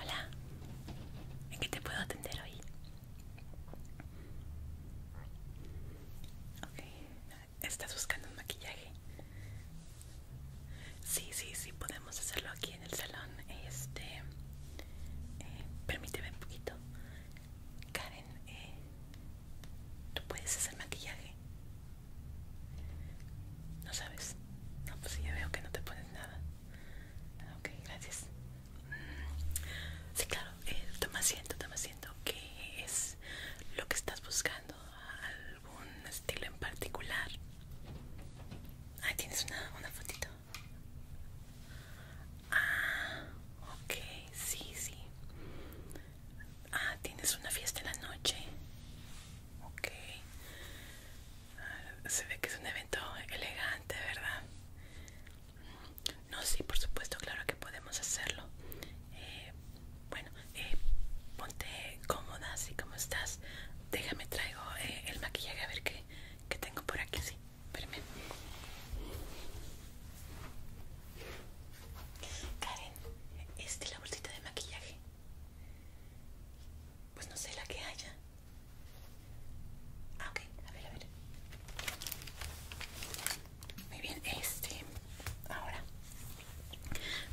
Hola, ¿en qué te puedo atender hoy? ¿estás buscando un maquillaje? Sí, sí, sí, podemos hacerlo aquí en el salón. Este, eh, permíteme un poquito. Karen, eh, ¿tú puedes hacer maquillaje? No sabes. No, pues ya veo que no te pones nada. Ok, gracias. Mm, sí, claro, eh, toma asiento, toma asiento. ¿Qué es lo que estás buscando? ¿Algún estilo en particular? Ah, tienes una, una fotito. Ah, ok, sí, sí. Ah, tienes una fiesta en la noche. Ok. Ah, se ve que es un evento elegante, ¿verdad? No, sí, por supuesto, claro que podemos hacerlo. Eh, bueno, eh, ponte cómoda, así como estás. Déjame traigo eh, el maquillaje a ver qué, tengo por aquí, sí. Espérame. Karen, este es la bolsita de maquillaje. Pues no sé la que haya. Ah, ok, a ver, a ver. Muy bien, este. Ahora,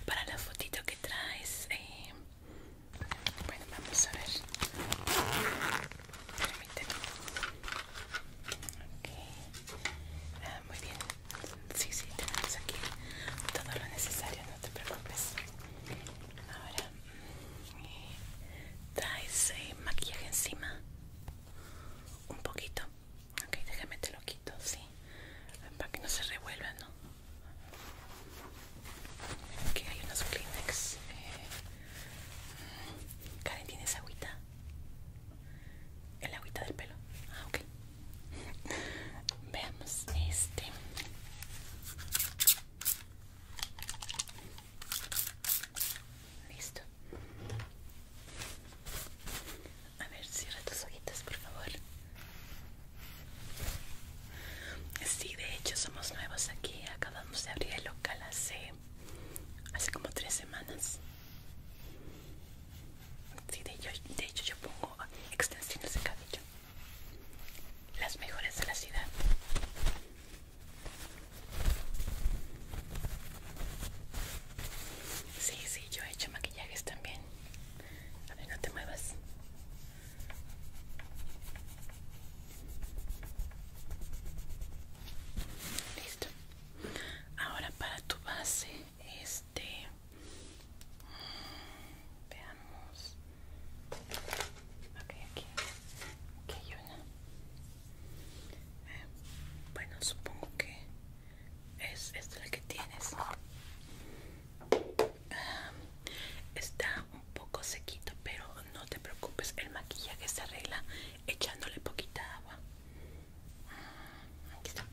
para la fotito que traes, eh, bueno, vamos a ver. Permíteme. Ok, ah, muy bien. Sí, sí, tenemos aquí todo lo necesario, no te preocupes. Ahora, mm, traes ese eh, maquillaje encima. Un poquito. Ok, déjame te lo quito, sí. Para que no se revuelva, ¿no? Aquí hay unos Kleenex. Eh. Mm, Karen, ¿tienes agüita? ¿El agüita del pelo? Ah, ok. Veamos este. Listo. A ver, cierra tus ojitas, por favor. Sí, de hecho somos nuevos aquí. Acabamos de abrir el local hace, hace como tres semanas. Sí, de, de hecho yo pongo extensiones de cabello las mejores de la ciudad sí, sí, yo he hecho maquillajes también a ver, no te muevas listo ahora para tu base este veamos ok aquí hay una eh, bueno supongo que es esta la que tienes ah, está un poco sequito pero no te preocupes el maquillaje se arregla echándole poquita agua Aquí está.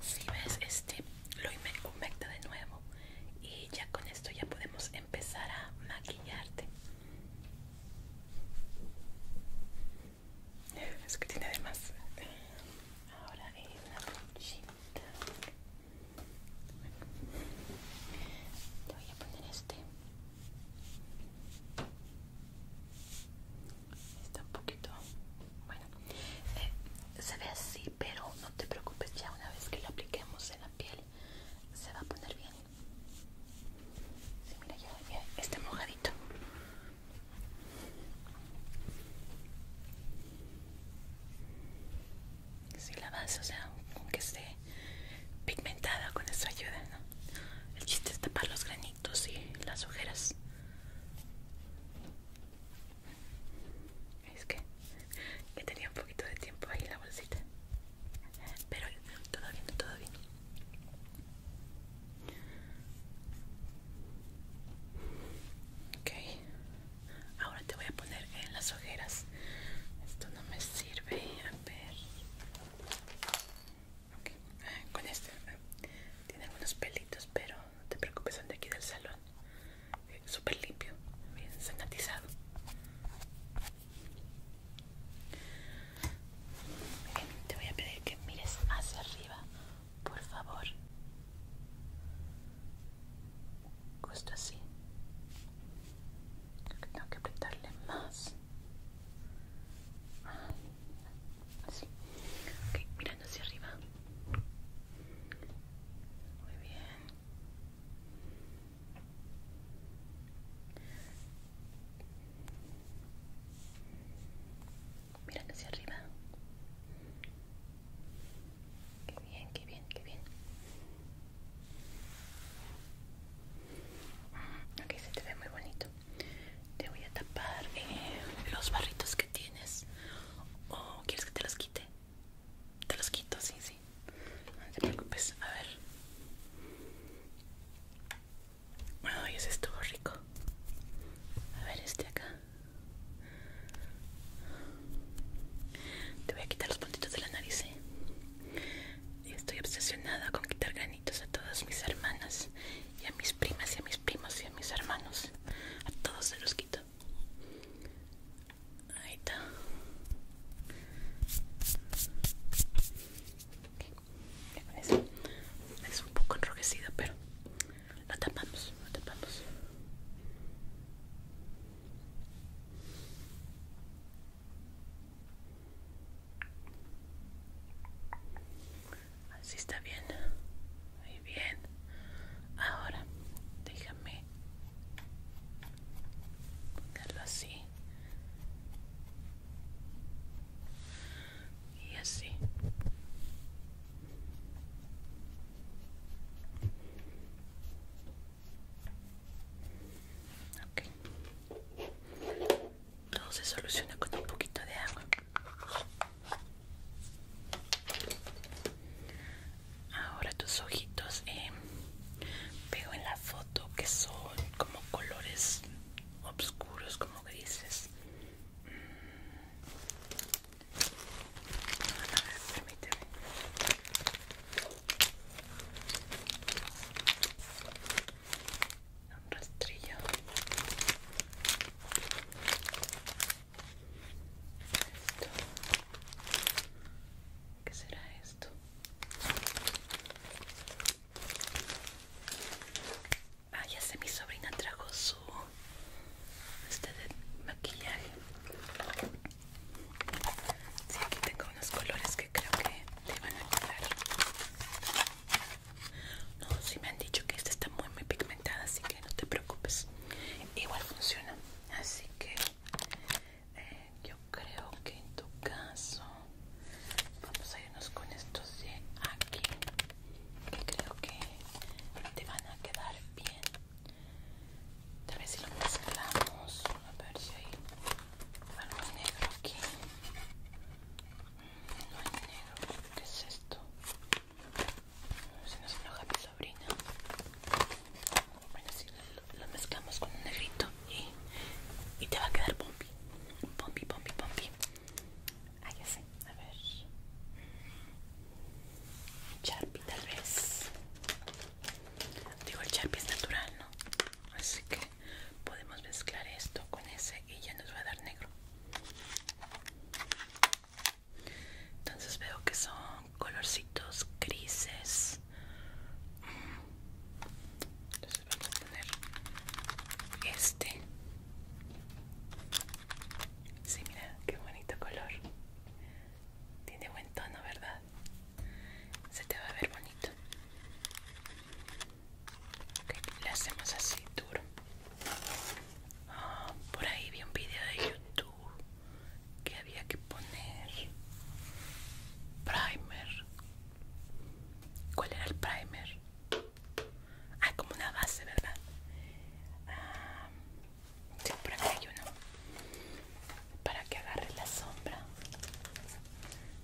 Si ves, este lo humecta de nuevo. Y ya con esto ya podemos empezar a maquillarte. Es que tiene de más. Ahora es una brochita. voy a poner este Está un poquito... Bueno, eh, se ve así, pero no te preocupes, ya una vez que lo apliquemos en la piel se va a poner bien. Sí, mira, ya, está mojadito. Si la vas, o sea, aunque esté pigmentada con eso ayuda, ¿no? El chiste es tapar los granitos. Tú sí las ojeras. Es que, que tenía un poquito de tiempo ahí en la bolsita. Pero todo bien, todo bien. Ok, ahora te voy a poner en las ojeras. Esto no me sirve. A ver. Ah, con este ah, tiene algunos pelitos, pero no te preocupes, son de aquí del salón. Eh, súper limpio, bien sanatizado. te voy a pedir que mires hacia arriba, por favor. Justo así. Creo que tengo que apretarle más mirando hacia arriba. Muy bien. Mirando hacia arriba. Qué bien, qué bien, qué bien. Ok, se te ve muy bonito. Te voy a tapar eh, los barritos que tienes. ¿O quieres que te los quite? Te los quito, sí, sí. No te preocupes, a ver. Ay, ese estuvo rico. A ver, este acá. Te voy a quitar los puntitos de la nariz, eh. Estoy obsesionada con quitar a todas mis hermanas y a mis primas y a mis primos y a mis hermanos. A todos se los quito. Ahí está. Es, un poco enrojecido, pero tapamos, lo tapamos. Así está bien. Muy bien. Ahora, déjame ponerlo así. Y así. Todo se soluciona con un poquito de agua. Ahora tus ojitos eh, veo en la foto que son como colores oscuros, como grises un rastrillo esto ¿qué será esto? ah ya sé mi sobrina trajo su este de maquillaje sí aquí tengo unos colores que creo que le van a quedar no, si me han dicho que esta está muy muy pigmentada, así que no te preocupes. Igual funciona. Así que eh, yo creo que en tu caso vamos a irnos con estos de aquí. Que creo que te van a quedar bien. Tal vez si lo mezclamos. A ver si hay algo negro aquí no hay negro, ¿Qué es esto? Se nos enoja mi sobrina. Bueno, si lo, mezclamos con un negrito y, te va a quedar pompi. Pompi, pompi, pompi. Ah, ya sé. A ver. Charpi, tal vez. Digo, el charpi es natural, ¿no? Así que podemos mezclar esto con ese y ya nos va a dar negro entonces veo que son colorcitos grises mm. entonces vamos a poner este sí mira qué bonito color tiene buen tono verdad se te va a ver bonito le hacemos así duro. Ah, por ahí vi un video de YouTube que había que poner primer. ¿Cuál era el primer? Ah, como una base, ¿verdad? Ah, por hay uno. Para que agarre la sombra.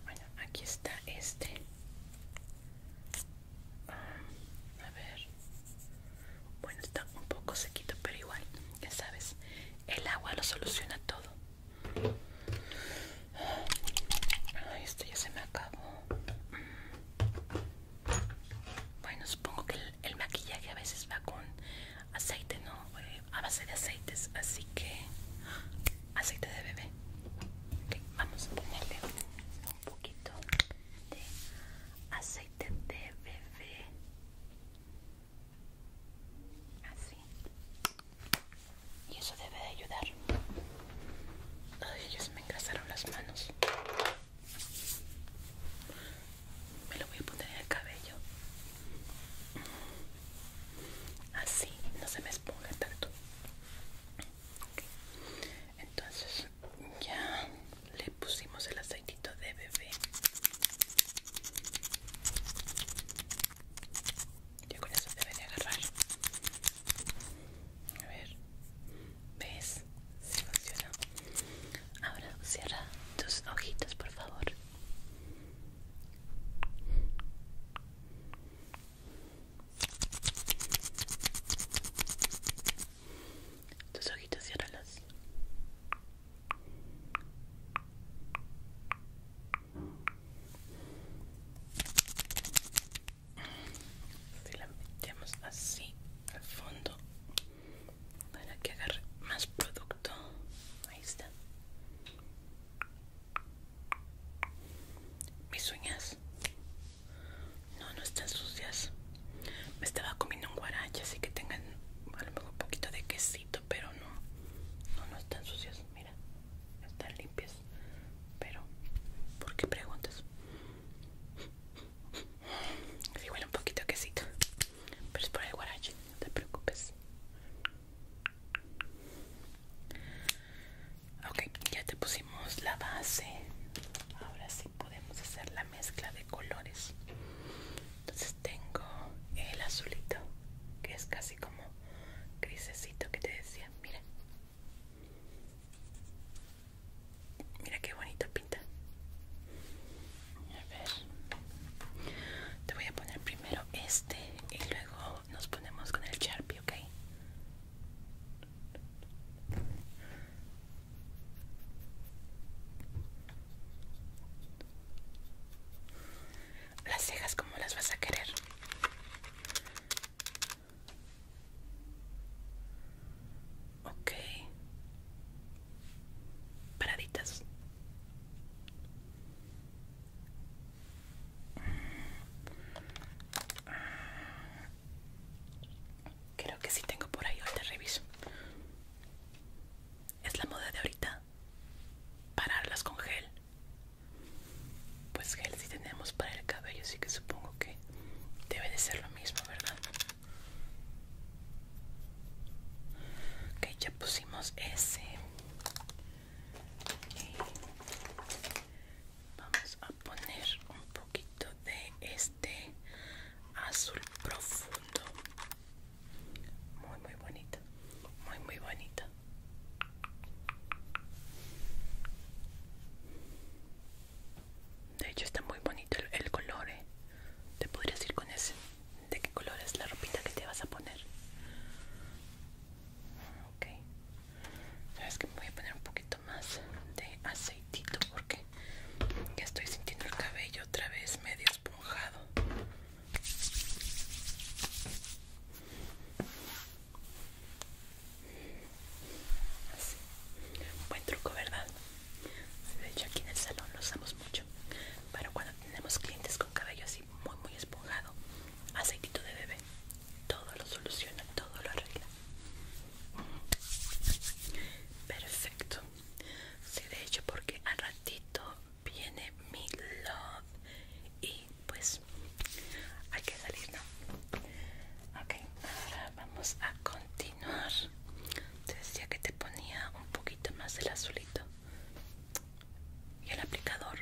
Bueno, aquí está este. A ver. Bueno, está un poco sequito, pero igual, ya sabes, el agua lo soluciona todo. Este ya se me acabó. Bueno, supongo que el, maquillaje a veces va con aceite, ¿no? Eh, a base de aceites, así que aceite de bebé. Ok, vamos a ponerle un poquito de aceite de bebé así y eso debe de ayudar ellos me engrasaron las manos me lo voy a poner en el cabello así no se me esponja tanto ok entonces ya le pusimos el aceitito de bebé Yo con eso debe a agarrar a ver ves si funciona ahora cierra tus ojitos por favor tus ojitos ciérralos. Si la metemos así al fondo para que agarre más producto. Ahí está. Mis uñas no, no están sucias. Me estaba comiendo un guarache, así que tengan a lo mejor un poquito de quesito, pero no. No, no están sucias, mira. Están limpias. Pero, ¿por qué preguntas? Sí, huele un poquito a quesito. Pero es por el guarache, no te preocupes. Ok, ya te pusimos la base. Ahora sí podemos hacer la mezcla de colores. Entonces tengo el azulito, que es casi como grisecito que te decía. Mira. Mira qué bonito pinta. A ver. Te voy a poner primero este y luego nos ponemos con el Sharpie, ¿ok? Las cejas, como las vas a querer? Ok. Paraditas. Creo que sí tengo por ahí, ahorita reviso. Es la moda de ahorita. Pararlas con gel. Pues gel sí tenemos para el cabello, así que supongo que debe de ser lo mismo, ¿verdad? Ok, ya pusimos ese vamos a poner un poquito de este azul profundo muy muy bonito muy muy bonita de hecho está muy bonito el, el color ¿eh? te podrías ir con ese de qué color es la ropita que te vas a poner ok sabes que voy a poner un poquito más de aceitito porque ya estoy sintiendo el cabello otra vez medio esponjado Así. buen truco verdad de hecho aquí en el salón lo usamos mucho Pero cuando tenemos clientes con cabello así muy muy esponjado aceitito de bebé todo lo soluciona todo lo arregla Perfecto. Sí, de hecho, porque al ratito viene mi love y pues hay que salir, ¿no? Ok, ahora vamos a continuar. Te decía que te ponía un poquito más el azulito y el aplicador.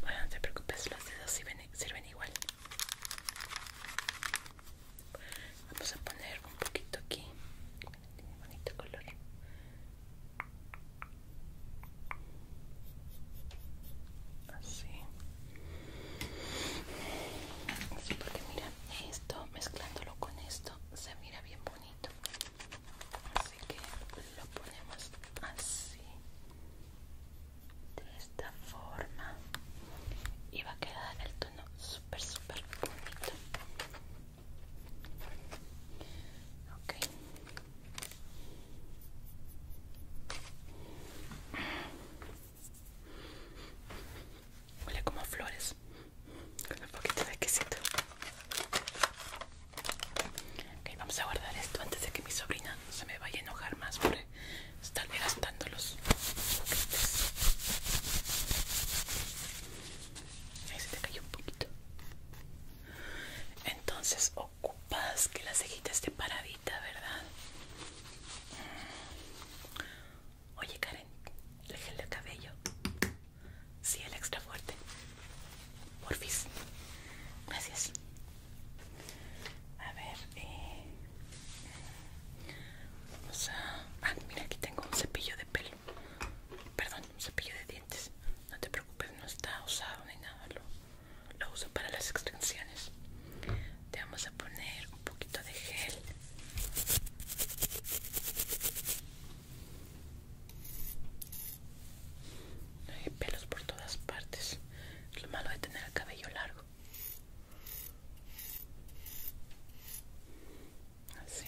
Bueno, no te preocupes, los dedos sirven, igual. Vamos a poner un poquito aquí. Tiene bonito color. Así. Así porque mira, esto mezclándolo con esto se mira bien bonito. Así que lo ponemos así de esta forma y va a quedar el tono super super bonito huele como flores con un poquito de quesito Ok, vamos a guardar esto antes de que mi sobrina se me vaya a enojar más por estar gastando los Ahí se te cayó un poquito. Entonces ocupas que la cejita esté paradita, ¿verdad? Mm. Oye Karen, gel el cabello. Sí, el extra fuerte. Porfis. Gracias. A ver, eh, vamos a... Ah, mira, aquí tengo un cepillo de pelo. Perdón, un cepillo de dientes. No te preocupes, no está usado ni nada. Lo, lo uso para las extensiones. Te vamos a poner un poquito de gel. Hay pelos por todas partes. Es lo malo de tener el cabello largo. Así.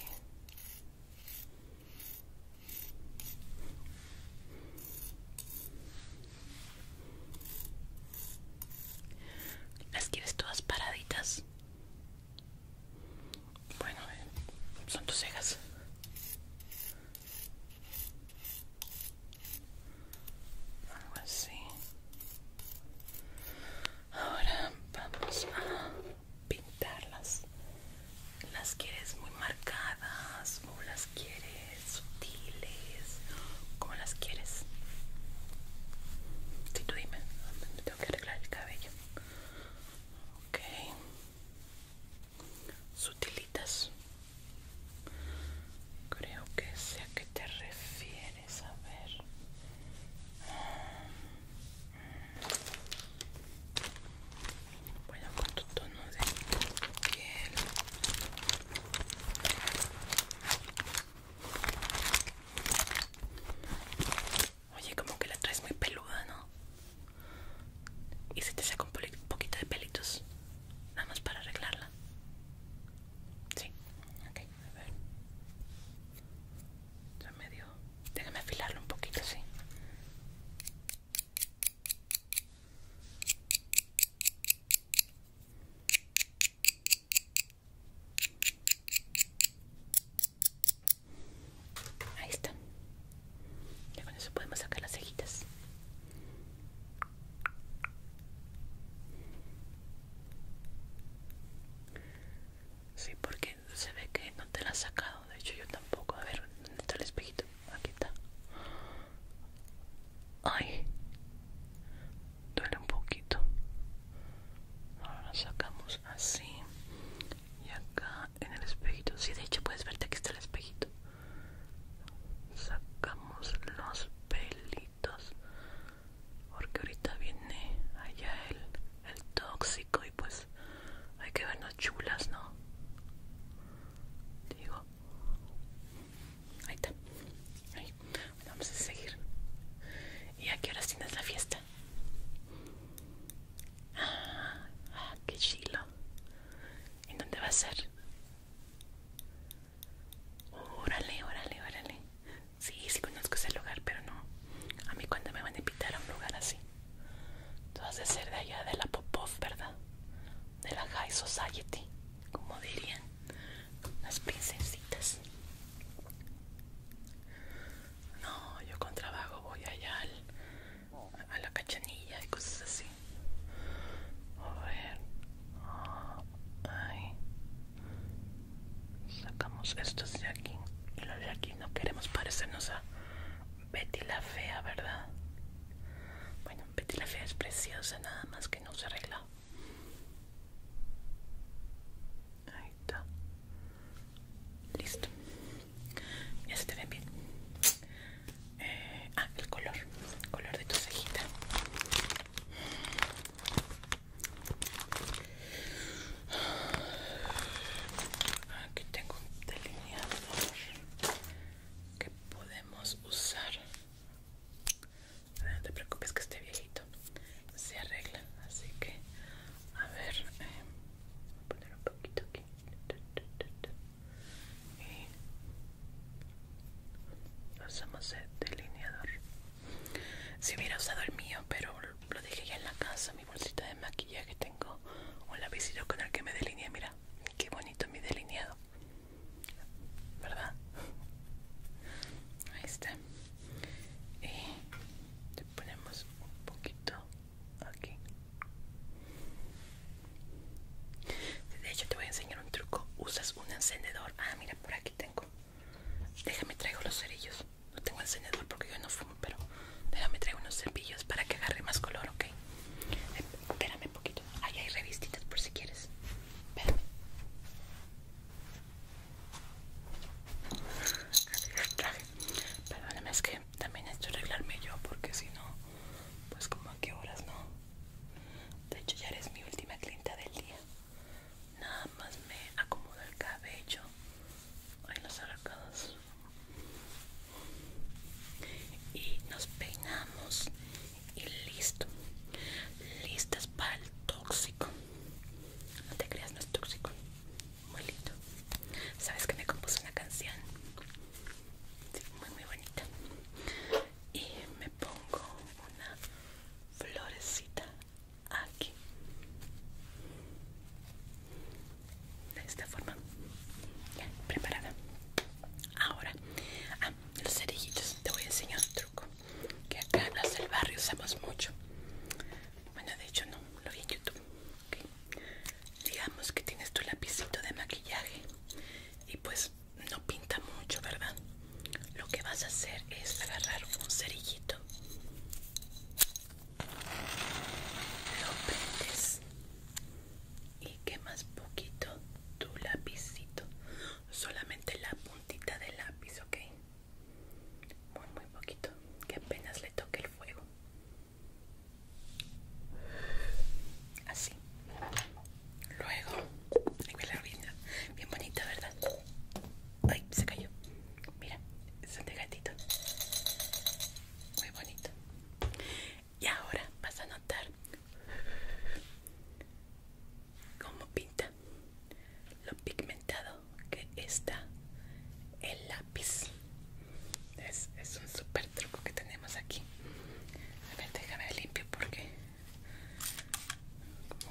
¿Las quieres todas paraditas? Bueno, eh, son tus cejas algo así ahora vamos a pintarlas las quieres muy marcadas o las quieres sutiles ¿Cómo las quieres si tú dime tengo que arreglar el cabello ok sutilitas creo que sé a qué te refieres a ver bueno con tu tono de piel Oye, como que la traes muy peluda, ¿no? y se te saca un poquito de pelitos nada más para arreglarla sí ok a ver ya medio déjame afilarlo un poquito sí. Ahí está. Ya con eso podemos sacar las cejitas. Sí, porque se ve que no te la has sacado. De hecho, yo tampoco. A ver, ¿dónde está el espejito? Aquí está. Ay, duele un poquito. Ahora lo sacamos así. Y acá en el espejito. Sí, de hecho, puedes verte que está el espejito sacamos los pelitos porque ahorita viene allá el, tóxico y pues hay que vernos chulas no digo ahí está vamos a seguir y a qué horas tienes la fiesta ah, ah qué chilo y dónde va a ser Órale, órale, órale. Sí, sí conozco ese lugar, pero no. A mí cuando me van a invitar a un lugar así. Tú has de ser de allá de la Popov, ¿verdad? De la High Society, como dirían las princesitas. No, yo con trabajo voy allá al a la cachanilla y cosas así. A ver. Sacamos estos de aquí. Y los de aquí no queremos parecernos a Betty la Fea, ¿verdad? Bueno, Betty la Fea es preciosa, nada más que no se arregla. Ahí está. Listo. Ya se ven bien. Eh, ah, el color, el color de tu cejita. Aquí tengo un delineador que podemos usar. No te preocupes que esté viejito se arregla, así que a ver, eh, voy a poner un poquito aquí y eh, usamos el delineador. Si hubiera usado el mío, pero lo dejé ya en la casa, mi bolsita de maquillaje tengo un lapicito con el que me delineé, mira, qué bonito mi delineado. ¿Verdad? Ahí está. Y le ponemos un poquito aquí. De hecho te voy a enseñar un truco. Usas un encendedor. Ah, mira, por aquí tengo. Déjame traigo los cerillos. No tengo encendedor porque yo no fumo, pero déjame traigo unos cepillos para que agarre más color, ¿ok? espérame un poquito. Ahí hay revistitas por si quieres. Espérame. Perdóname, es que también necesito arreglarme yo porque si no, pues como a qué horas no. De hecho ya eres mi última clienta del día. Nada más me acomodo el cabello. hay los arracados. Y nos peinamos. Y listo. Listas para el tóxico. No te creas, no es tóxico. Muy lindo. Sabes que me compuse una canción. muy muy bonita y me pongo una florecita aquí de esta forma ya, preparada ahora ah, los cerillitos te voy a enseñar un truco que acá los del barrio usamos mucho bueno de hecho no lo vi en youtube digamos que tienes tu lapicito de maquillaje y pues no pinta mucho, ¿verdad? Lo que vas a hacer es agarrar un cerillito. Lo prendes y quemas poquito tu lapicito. Solamente la puntita del lápiz, ¿ok? Muy, muy poquito. Que apenas le toque el fuego. Así. Luego, la bien bonita, ¿verdad? Ay, se cayó. Mira, gatito. Muy bonito. Y ahora vas a notar cómo pinta lo pigmentado que está el lápiz. Es, es un super truco que tenemos aquí. A ver, déjame limpio porque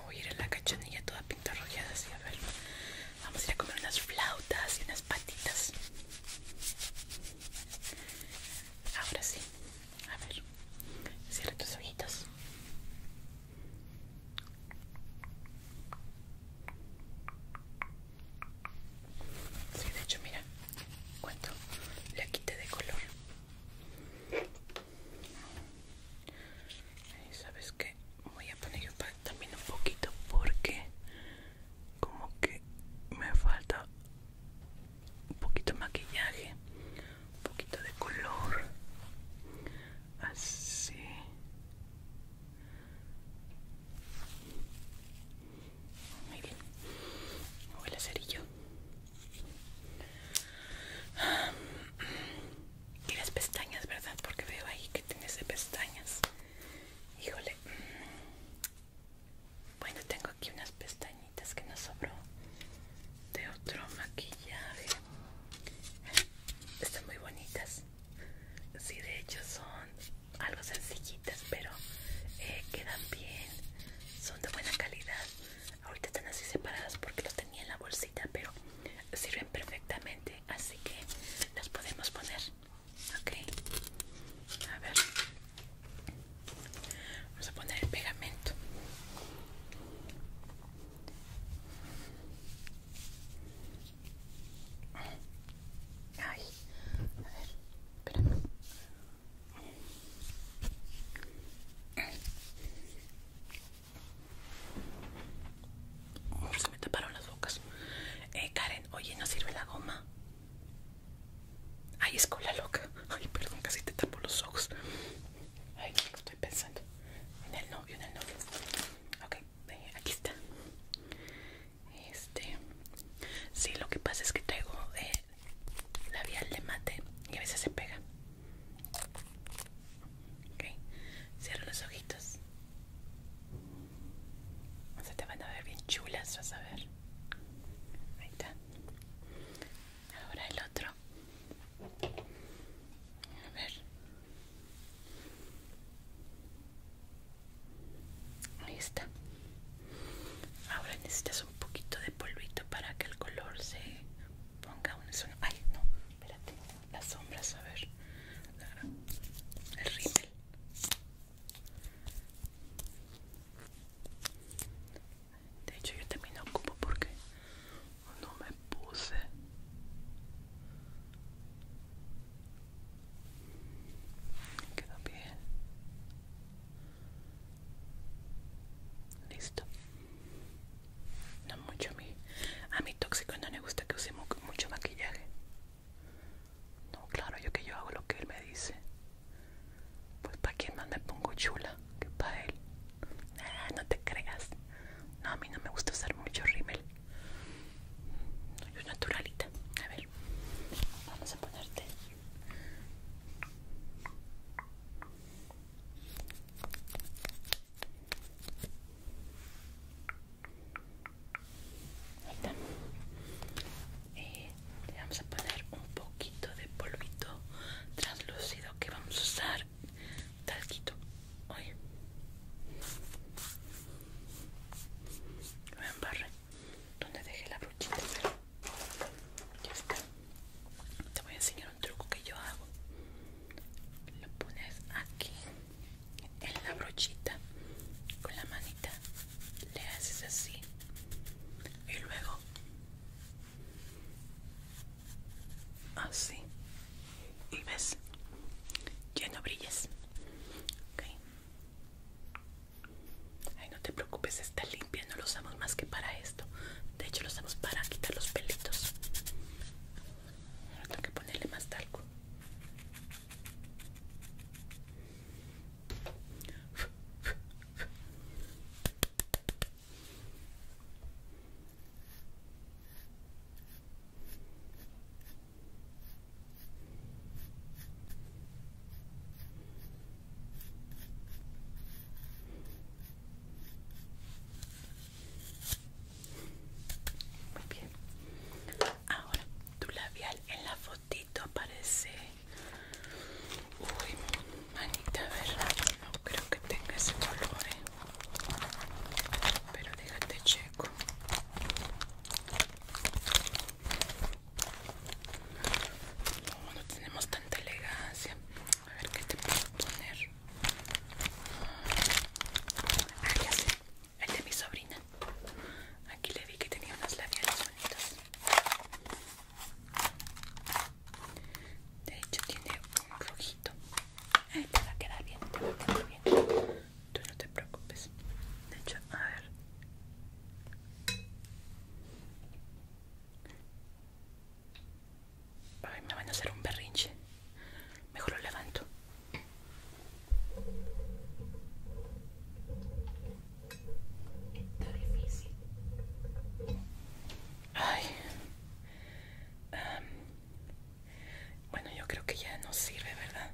voy a ir a la cachanilla toda pintarrojeada así. A ver, vamos a ir a comer unas flautas y unas patitas. Ahora sí, a ver, cierra tus ojitos. Sí, de hecho, mira cuánto le quité de color sabes que voy a poner yo también un poquito porque como que me falta un poquito de maquillaje, un poquito de color, así. Muy bien, voy a hacer yo. ¿Quieres pestañas, ¿verdad? Porque veo ahí que tienes de pestañas. Híjole. Bueno, tengo aquí unas pestañitas que nos sobró de otro maquillaje. Están muy bonitas. Sí, de hecho son algo sencillitas, pero eh, quedan bien. Son de buena calidad ahorita están así separadas porque lo tenía en la bolsita pero sirven perfectamente así que las podemos poner ok a ver vamos a poner el pegamento Ay, a ver, espérame. Se me taparon las bocas. Eh, Karen, oye, ¿no sirve la goma? Ay, es cola loca. Ay, perdón, casi te tapo los ojos. Ay, estoy pensando. En el novio, en el novio. Ok, eh, aquí está. Este. Sí, lo que pasa es que traigo eh, la vía de mate y a veces se pega. Ok, cierra los ojitos. se te van a ver bien chulas, vas a ver. Ahí está. Ahora el otro. A ver. Ahí está. Ahora necesitas un poquito de polvito para que el color se ponga un Ay, no, espérate, las sombras, a ver. El rímel. De hecho, yo también lo ocupo porque no me puse. Quedó bien. Listo. No mucho a mí. A mi tóxico no le gusta que use mucho maquillaje. No, claro, yo que yo hago lo que él me dice. Pues para quién más me pongo chula que para él. no te creas. No, a mí no me gusta usar mucho rímel. naturalita. A ver, vamos a ponerte Ahí está. Eh, le vamos a poner un poquito de polvito translúcido que vamos a usar talquito hoy me embarré donde dejé la brochita ya está. Te voy a enseñar un truco que yo hago. Lo pones aquí en la brochita con la manita. Le haces así. Y luego así. Y ves, ya no brillas. Okay. Ay, no te preocupes, está limpia, no lo usamos más que para esto. De hecho, lo usamos para quitar los pelitos. Ahora tengo que ponerle más talco. Muy bien. Ahora, tu labial en la fotito aparece. Uy, manita, ¿verdad? No creo que tenga ese color, eh. Pero déjate checo. No, no tenemos tanta elegancia, a ver qué te puedo poner ah ya sé el de mi sobrina aquí le vi que tenía unas labiales bonitas. de hecho tiene un rojito Ay, te quedar bien te va a quedar bien tú no te preocupes de hecho a ver me van a hacer un berrinche. Mejor lo levanto. Está difícil. Ay. bueno, yo creo que ya no sirve, ¿verdad?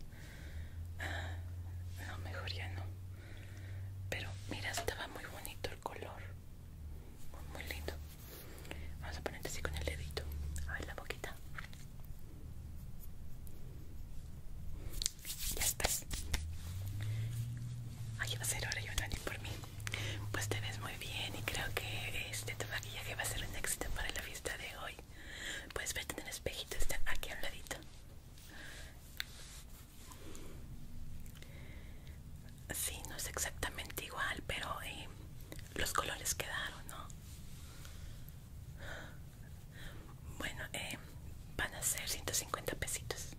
Ah, no, mejor ya no. Pero mira, estaba muy bonito el color muy, lindo vamos a ponerte así con el dedito a ver la boquita ya estás ay va a ser hora también por mí pues te ves muy bien y creo que este tu maquillaje va a ser un éxito para la fiesta de hoy puedes verte en el espejito está aquí al ladito Sí, no es exactamente igual, pero eh, los colores quedaron, ¿no? Bueno, eh, van a ser 150 pesitos.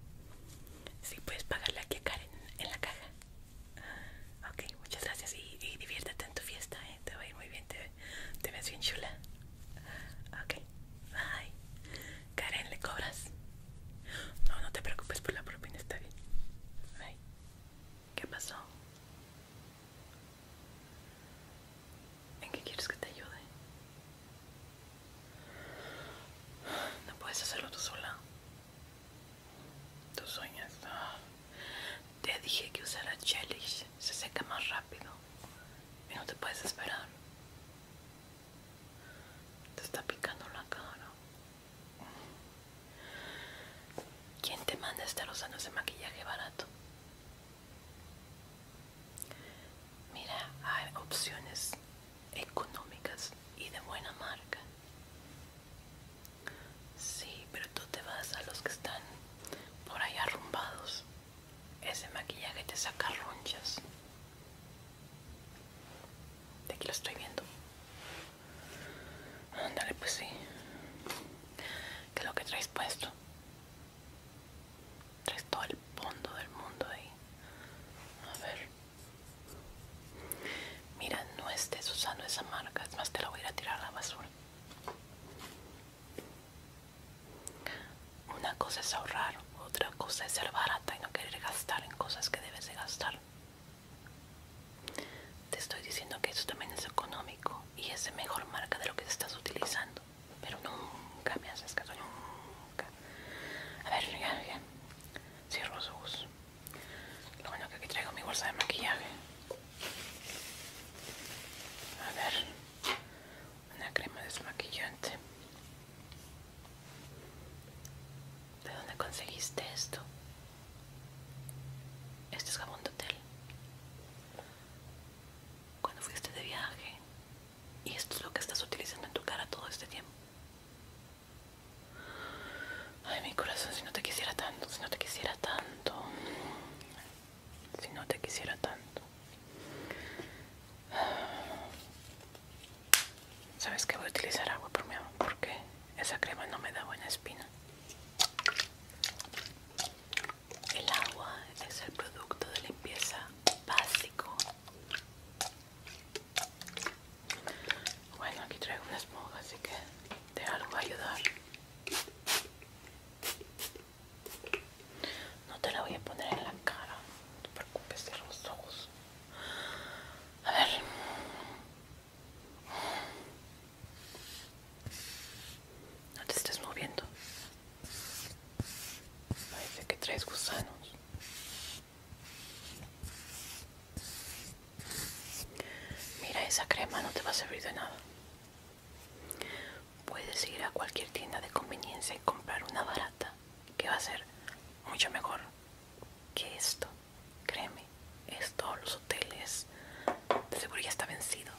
Sí, puedes pagarle aquí a Karen en la caja. Ok, muchas gracias y, diviértete en tu fiesta, ¿eh? te va a ir muy bien, te, te ves bien chula. Ok, bye. Karen, ¿le cobras? No, no te preocupes por pues la propina, está bien. ¿Qué pasó? ¿En qué quieres que te ayude? No puedes hacerlo tú sola. Tus sueños Te dije que usara Chelish. Se seca más rápido. Y no te puedes esperar. Te está picando la cara. ¿Quién te manda a estar usando ese maquillaje barato? Mira, hay opciones económicas y de buena marca. Sí, pero tú te vas a los que están por ahí arrumbados. Ese maquillaje te saca ronchas. De aquí lo estoy viendo. Ándale, pues sí. que lo que traes puesto? Traes todo el fondo del mundo ahí. A ver. Mira, no estés usando esa marca. Es más, te la voy a a tirar a la basura. Una cosa es ahorrar, otra cosa es ser barata y no querer gastar en cosas que debes de gastar. Te estoy diciendo que eso también es económico y es de mejor marca de lo que estás utilizando. Pero nunca me haces caso, nunca. A ver, ya, ya. Cierro su Lo bueno que aquí traigo mi bolsa de maquillaje. A ver, una crema desmaquillante. ¿De dónde conseguiste esto? Este es jabón de hotel. Cuando fuiste de viaje. Y esto es lo que estás utilizando en tu cara todo este tiempo. Ay, mi corazón, si no te quisiera tanto, si no te quisiera tanto. Si no te quisiera tanto. ¿Sabes que voy a utilizar agua por mi amor? Porque esa crema no me da buena espina. El agua es el producto de limpieza básico. Bueno, aquí traigo una esponja, así que te algo va a ayudar. No te la voy a poner en la cara, no te preocupes de los ojos. A ver. No te estés moviendo. Parece que traes gusanos. Mira, esa crema no te va a servir de nada. Puedes ir a cualquier tienda de conveniencia y comprar una barata que va a ser mucho mejor que esto. Créeme, esto, los hoteles, de seguro ya está vencido.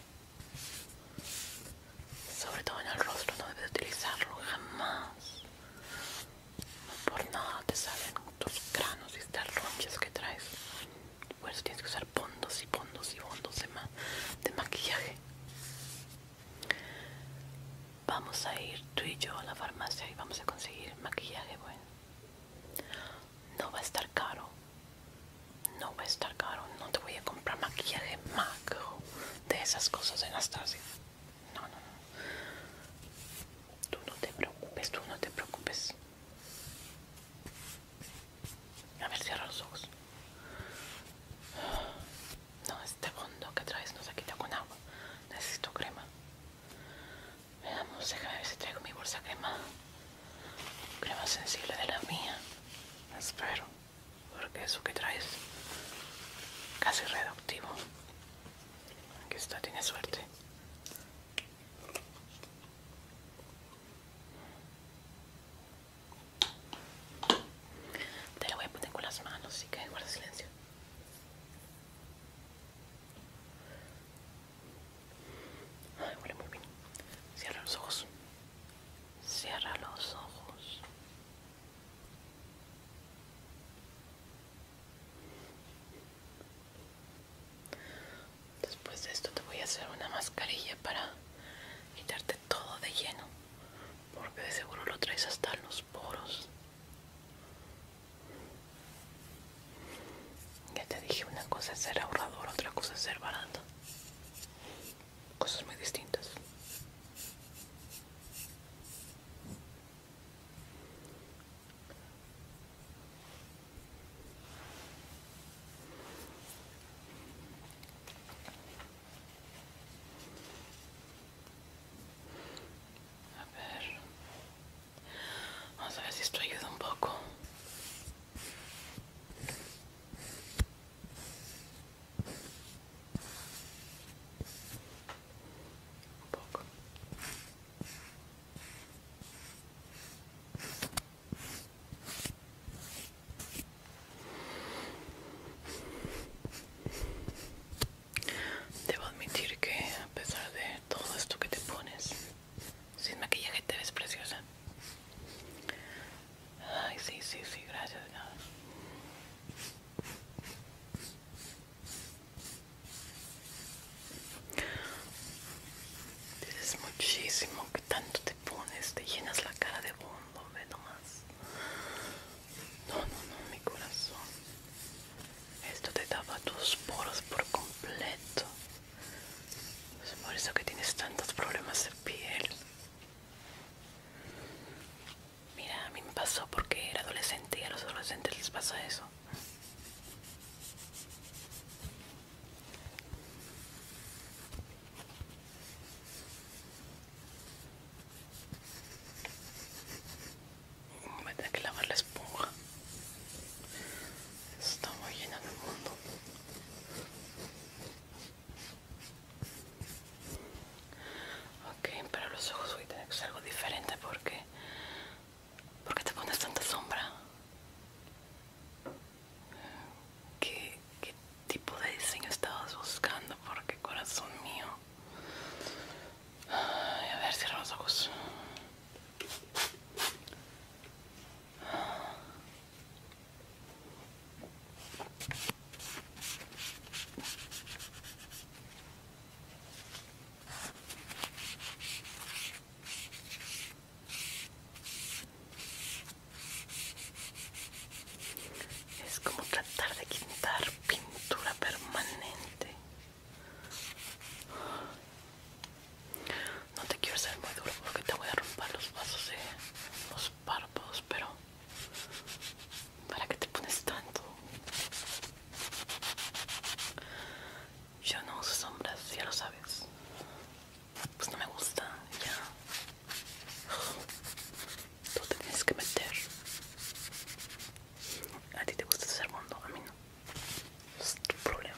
Sobre todo en el rostro no debes utilizarlo jamás. No por nada te salen tus granos y estas ronchas que traes. Por eso tienes que usar fondos y fondos y fondos de maquillaje. Vamos a ir tú y yo a la farmacia y vamos a conseguir maquillaje bueno. No va a estar caro. No va a estar caro. No te voy a comprar maquillaje macro de esas cosas Anastasia. No, no, no. Tú no te preocupes, tú no te preocupes. A ver, cierra los ojos. No, este fondo que traes no se quita con agua. Necesito crema. Veamos, déjame ver si traigo mi bolsa crema. Crema sensible de la mía. Espero. Porque eso que traes casi reductivo. Aquí está, tiene suerte. Te lo voy a poner con las manos, así que guarda silencio. Ay, huele muy bien. Cierra los ojos. Cierra los ojos. Después de esto te voy a hacer una mascarilla para quitarte todo de lleno, porque de seguro lo traes hasta los poros. Ya te dije, una cosa es ser ahorrador, otra cosa es ser barato. Cosas muy distintas. A ver. Vamos a ver si esto ayuda un poco. Un poco. Debo admitir que a pesar de todo esto que te pones, sin maquillaje te ves preciosa. Ay, sí, sí, sí, gracias. Dices muchísimo que tanto te pones, te llenas la cara de bondo, ve nomás. No, no, no, mi corazón. Esto te daba tus poros por completo. por eso que tienes tantos problemas de piel. Mira, a mí me pasó porque era adolescente y a los adolescentes les pasa eso me tengo que lavar la esponja. Estamos lleno de mundo. Ok, pero los ojos voy a tener que hacer algo diferente porque... ¿Por qué te pones tanta sombra? ¿Qué, ¿Qué tipo de diseño estabas buscando? Porque corazón mío... A ver, si los ojos. Es como tratar de quitar pintura permanente. No te quiero ser muy duro porque te voy a romper los vasos de los párpados, pero ¿para qué te pones tanto? Yo no uso sombras, ya lo sabes. Pues no me gusta, ya. Tú te tienes que meter. A ti te gusta ser mundo, a mí no es tu problema.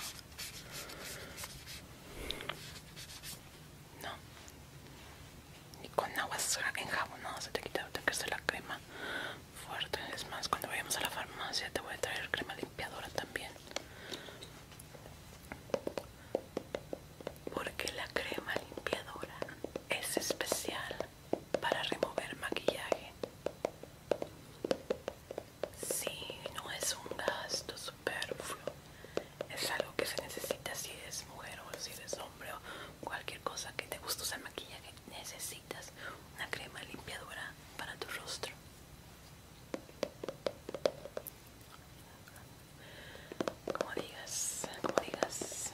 No. Y con agua no se te quita, ahorita la crema fuerte. Es más, cuando vayamos a la farmacia te voy a traer crema limpiadora también. Porque la crema limpiadora es especial para remover maquillaje. si, no es un gasto superfluo. Es algo que se necesita si eres mujer o si eres hombre o cualquier cosa que te guste usar maquillaje. Necesitas una crema limpiadora para tu rostro. Como digas, como digas.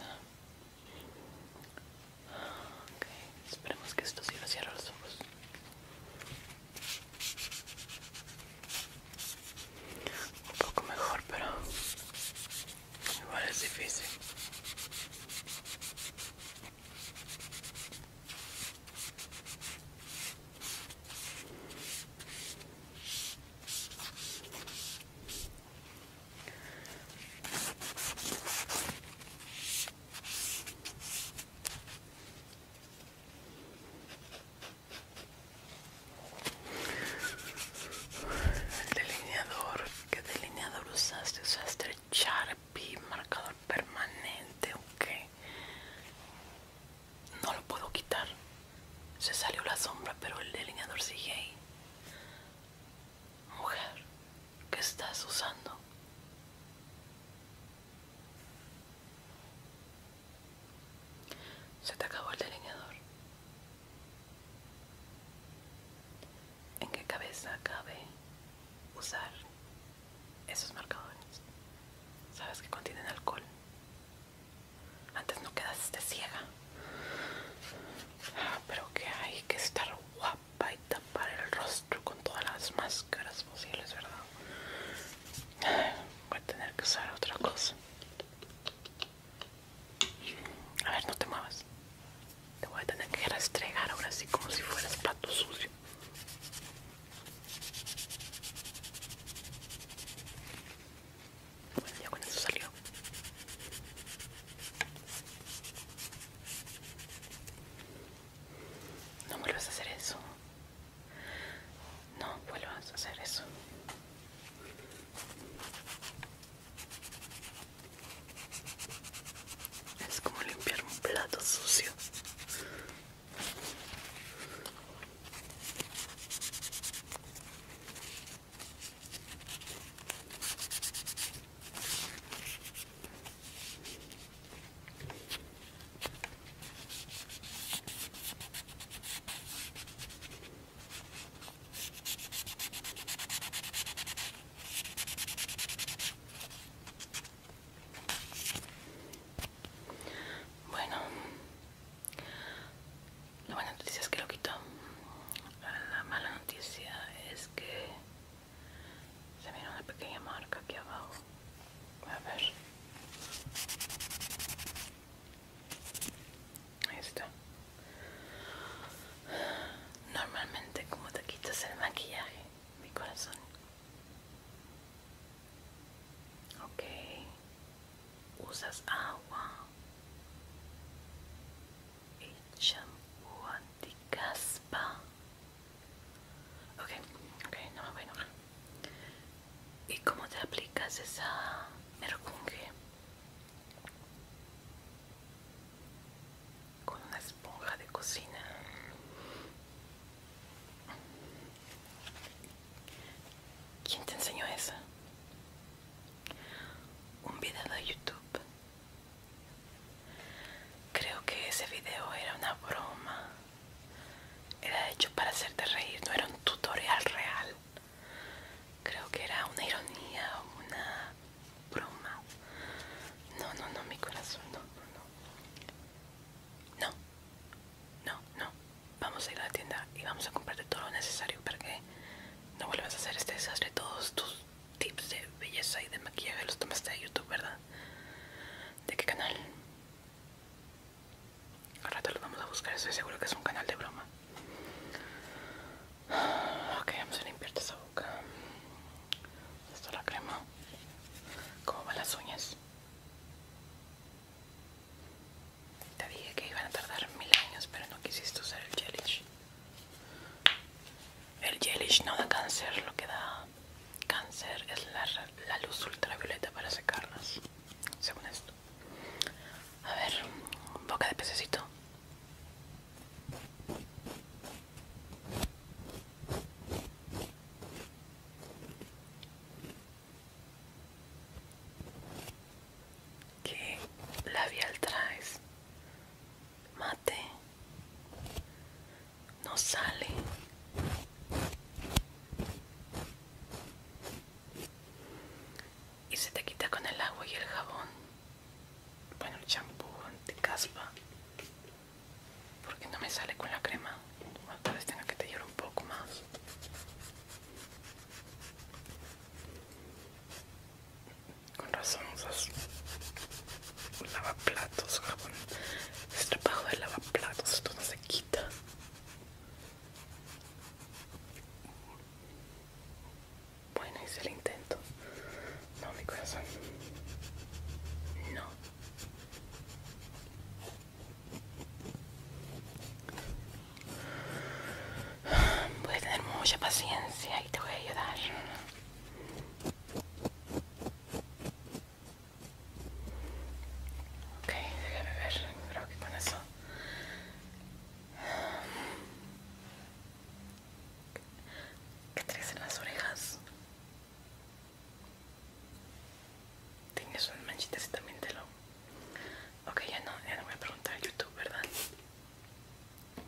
Ok, esperemos que esto sí sirva. Cierra los ojos. Un poco mejor, pero igual es difícil. El delineador, ¿qué delineador usaste? Usaste Sharpie, marcador permanente, o qué? No lo puedo quitar. Se salió la sombra, pero el delineador sigue ahí. Mujer, ¿Qué estás usando. Se te acabó el delineador. ¿En qué cabeza cabe usar esos marcadores? Sabes que contienen alcohol. Antes no quedaste ciega. Ah, pero que hay que estar guapo va a tapar el rostro con todas las máscaras posibles, ¿verdad? Voy a tener que usar otra cosa. A ver, no te muevas. Te voy a tener que restregar ahora así como si fueras pato sucio. Bueno, ya con eso salió. No vuelvas a hacer eso. No vuelvas a hacer eso. Es como limpiar un plato sucio. Bueno, la buena noticia es que lo quito. La mala noticia es que se mira una pequeña marca aquí abajo. A ver. Ahí está. Normalmente como te quitas el maquillaje, mi corazón. Ok. Usas agua y champú anticaspa. Ok, ok, no me voy a enojar. ¿Y cómo te aplicas esa mercunge? Con una esponja de cocina. ¿Quién te enseñó esa? Un video de YouTube. Creo que ese video era una broma. Era hecho para hacerte reír, no era un tutorial real. Creo que era una ironía una broma. No, no, no, mi corazón, no, no, no. No, Vamos a ir a la tienda y vamos a comprarte todo lo necesario para que no vuelvas a hacer este desastre. Todos tus tips de belleza y de maquillaje los tomaste de YouTube, ¿verdad? ¿De qué canal? Al rato los vamos a buscar, estoy seguro que es un canal de broma. Ok, vamos a limpiar esa boca. Esta la crema. como van las uñas? Te dije que iban a tardar mil años, pero no quisiste usar el gelish. El gelish no da cáncer, lo que da cáncer es la, luz ultravioleta para secarlas, según esto. A ver, boca de pececito. ¿Qué labial traes? Mate no sale y se te quita con el agua y el jabón bueno el champú anti caspa porque no me sale con la crema tal vez tenga que tallar un poco más con razón lavaplatos jabón Este trabajo de lavaplatos esto no se quita bueno hice el intento no mi corazón no Voy a tener mucha paciencia y te voy a ayudar. Ok, déjame ver, creo que con eso. ¿Qué tienes en las orejas? Tienes un manchitas y también te lo... Ok, ya no, ya no voy a preguntar a YouTube, ¿verdad?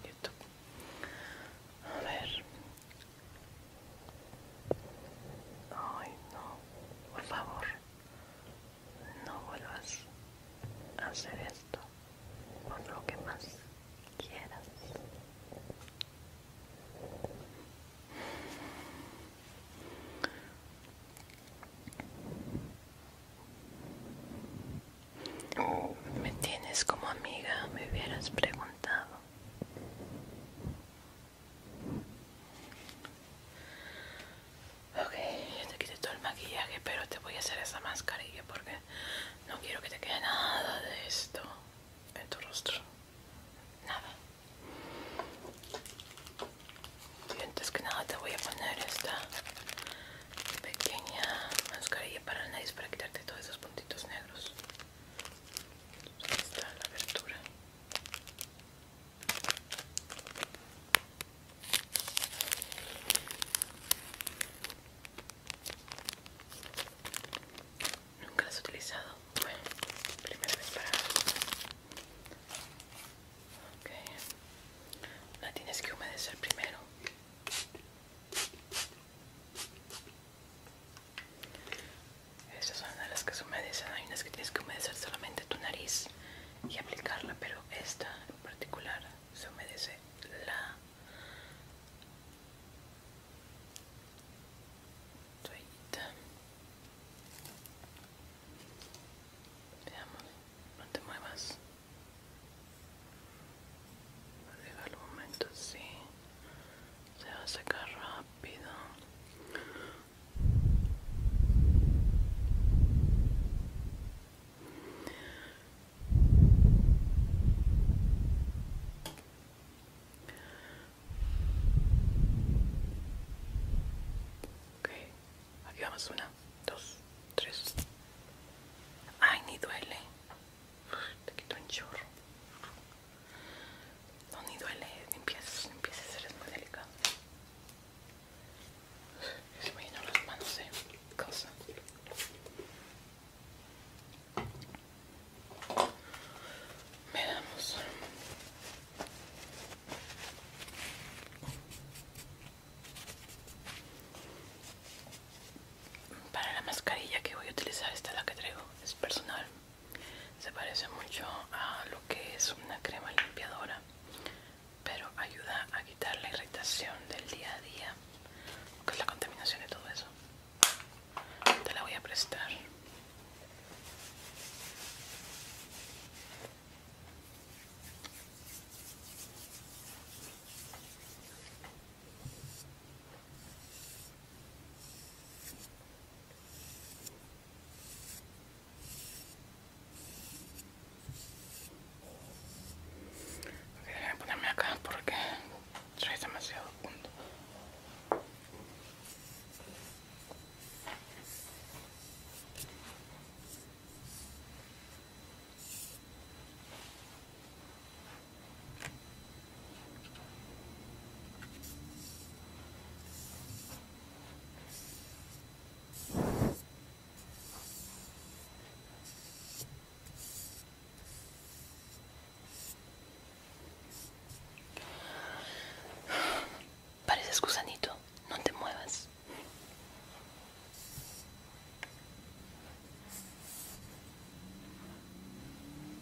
YouTube. A ver, Ay, no, por favor, no vuelvas a hacer esto por lo que más quieras. Me tienes como amiga, me hubieras preguntado. Ok, ya te quité todo el maquillaje, pero te voy a hacer esa mascarilla porque no quiero que te quede nada de esto en tu rostro. Nada. Y antes que nada te voy a poner esta pequeña mascarilla para el nariz para quitarte todos esos puntitos negros. Nunca las utilizado. Bueno, primera vez para. Ok. La tienes que humedecer primero. Estas son las que se humedecen. Hay unas que tienes que humedecer solamente tu nariz y aplicarla, pero esta en particular se humedece la toallita. Veamos, no te muevas. llegar un momento, sí se va a secar rápido ok aquí vamos una dos tres ay ni duele te quito un chorro. No, ni duele, empiezas, a eres muy delicado. Se me llenan las manos de ¿eh? Veamos. Para la mascarilla que voy a utilizar, esta es la que traigo, es personal se parece mucho a lo que es una crema limpiadora pero ayuda a quitar la irritación del día a día que es la contaminación y todo eso te la voy a prestar Okay, déjame ponerme acá porque soy demasiado punto. Pareces gusanito, no te muevas.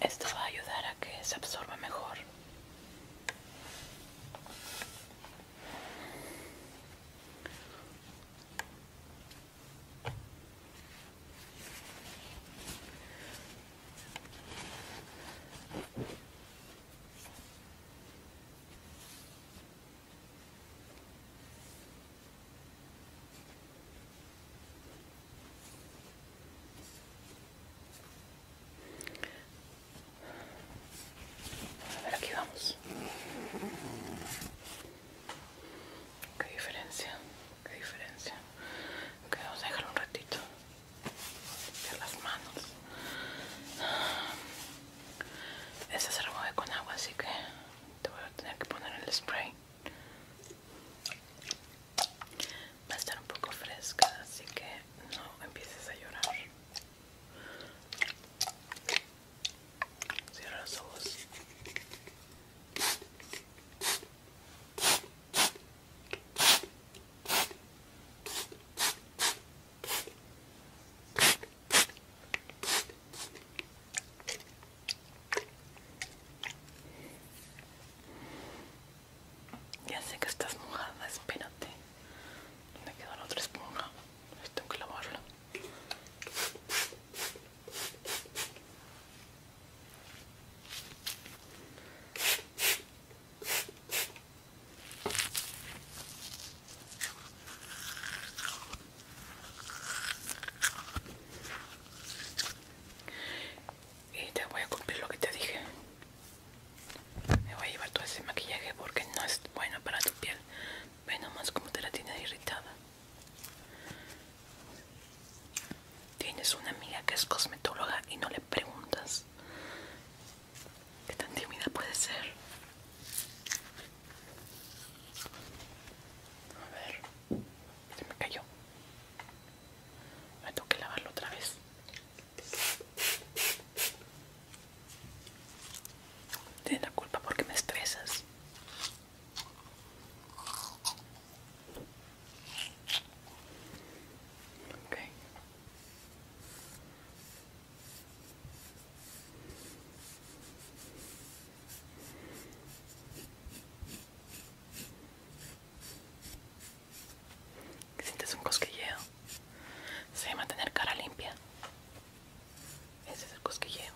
Esto va a ayudar a que se absorba mejor. A ver, aquí vamos. Qué diferencia, qué diferencia. Ok, vamos a dejar un ratito. Limpiar las manos. Esta se remueve con agua, así que te voy a tener que poner el spray. Va a estar un poco fresca, así que no empieces a llorar. Cierra los ojos. Ya sé que estás mojada, espérate. ¿Dónde quedó la otra esponja? Tengo que lavarla y te voy a cumplir lo que te dije me voy a llevar todo ese maquillaje porque no es bueno para tu piel ve nomás como te la tienes irritada tienes una amiga que es cosmetóloga y no le preguntas qué tan tímida puede ser a ver, se me cayó. Me tengo que lavarlo otra vez. Tienes la culpa porque me estresas. Okay. Sientes un cosquilleo. Se llama tener cara limpia. Ese es el cosquilleo.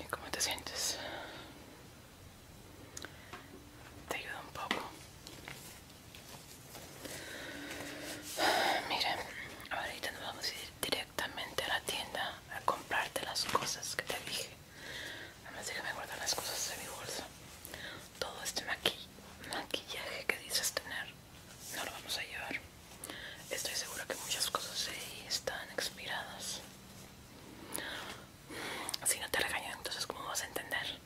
¿Y cómo te sientes? Te ayuda un poco. Mira, ahorita nos vamos a ir directo directamente a la tienda a comprarte las cosas que te dije. Además déjame guardar las cosas de mi bolsa. Todo este maquillaje que dices tener no lo vamos a llevar. Estoy segura que muchas cosas ahí están expiradas. Si no te regañan, entonces ¿cómo vas a entender?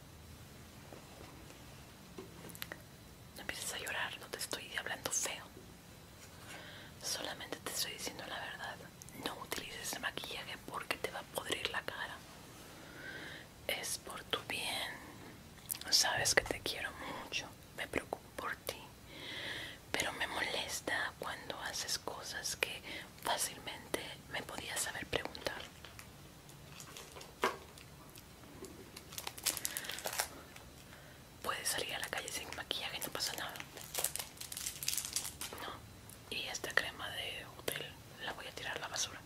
No empieces a llorar, no te estoy hablando feo. Solamente te estoy diciendo la verdad. No utilices maquillaje porque te va a podrir la cara. Es por tu bien. Sabes que te quiero mucho. Me preocupo por ti. Pero me molesta cuando haces cosas que fácilmente me podías saber preguntar puedes salir a la calle sin maquillaje, no pasa nada. No. Y esta crema de hotel la voy a tirar a la basura.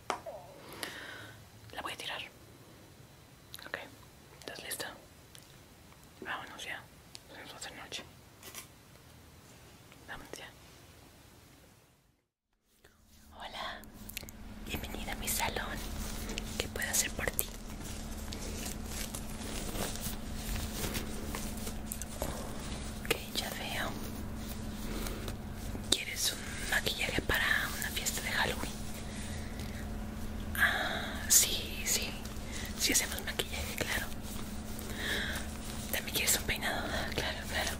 La voy a tirar. Ok, ¿estás lista? Vámonos ya. Se nos noche. Vámonos ya. Hola, bienvenida a mi salón. ¿Qué puedo hacer por ti? Ok, ya veo. ¿Quieres un maquillaje para una fiesta de Halloween? Ah, sí, sí. Sí hacemos maquillaje, claro. ¿También quieres un peinado? Ah, claro, claro.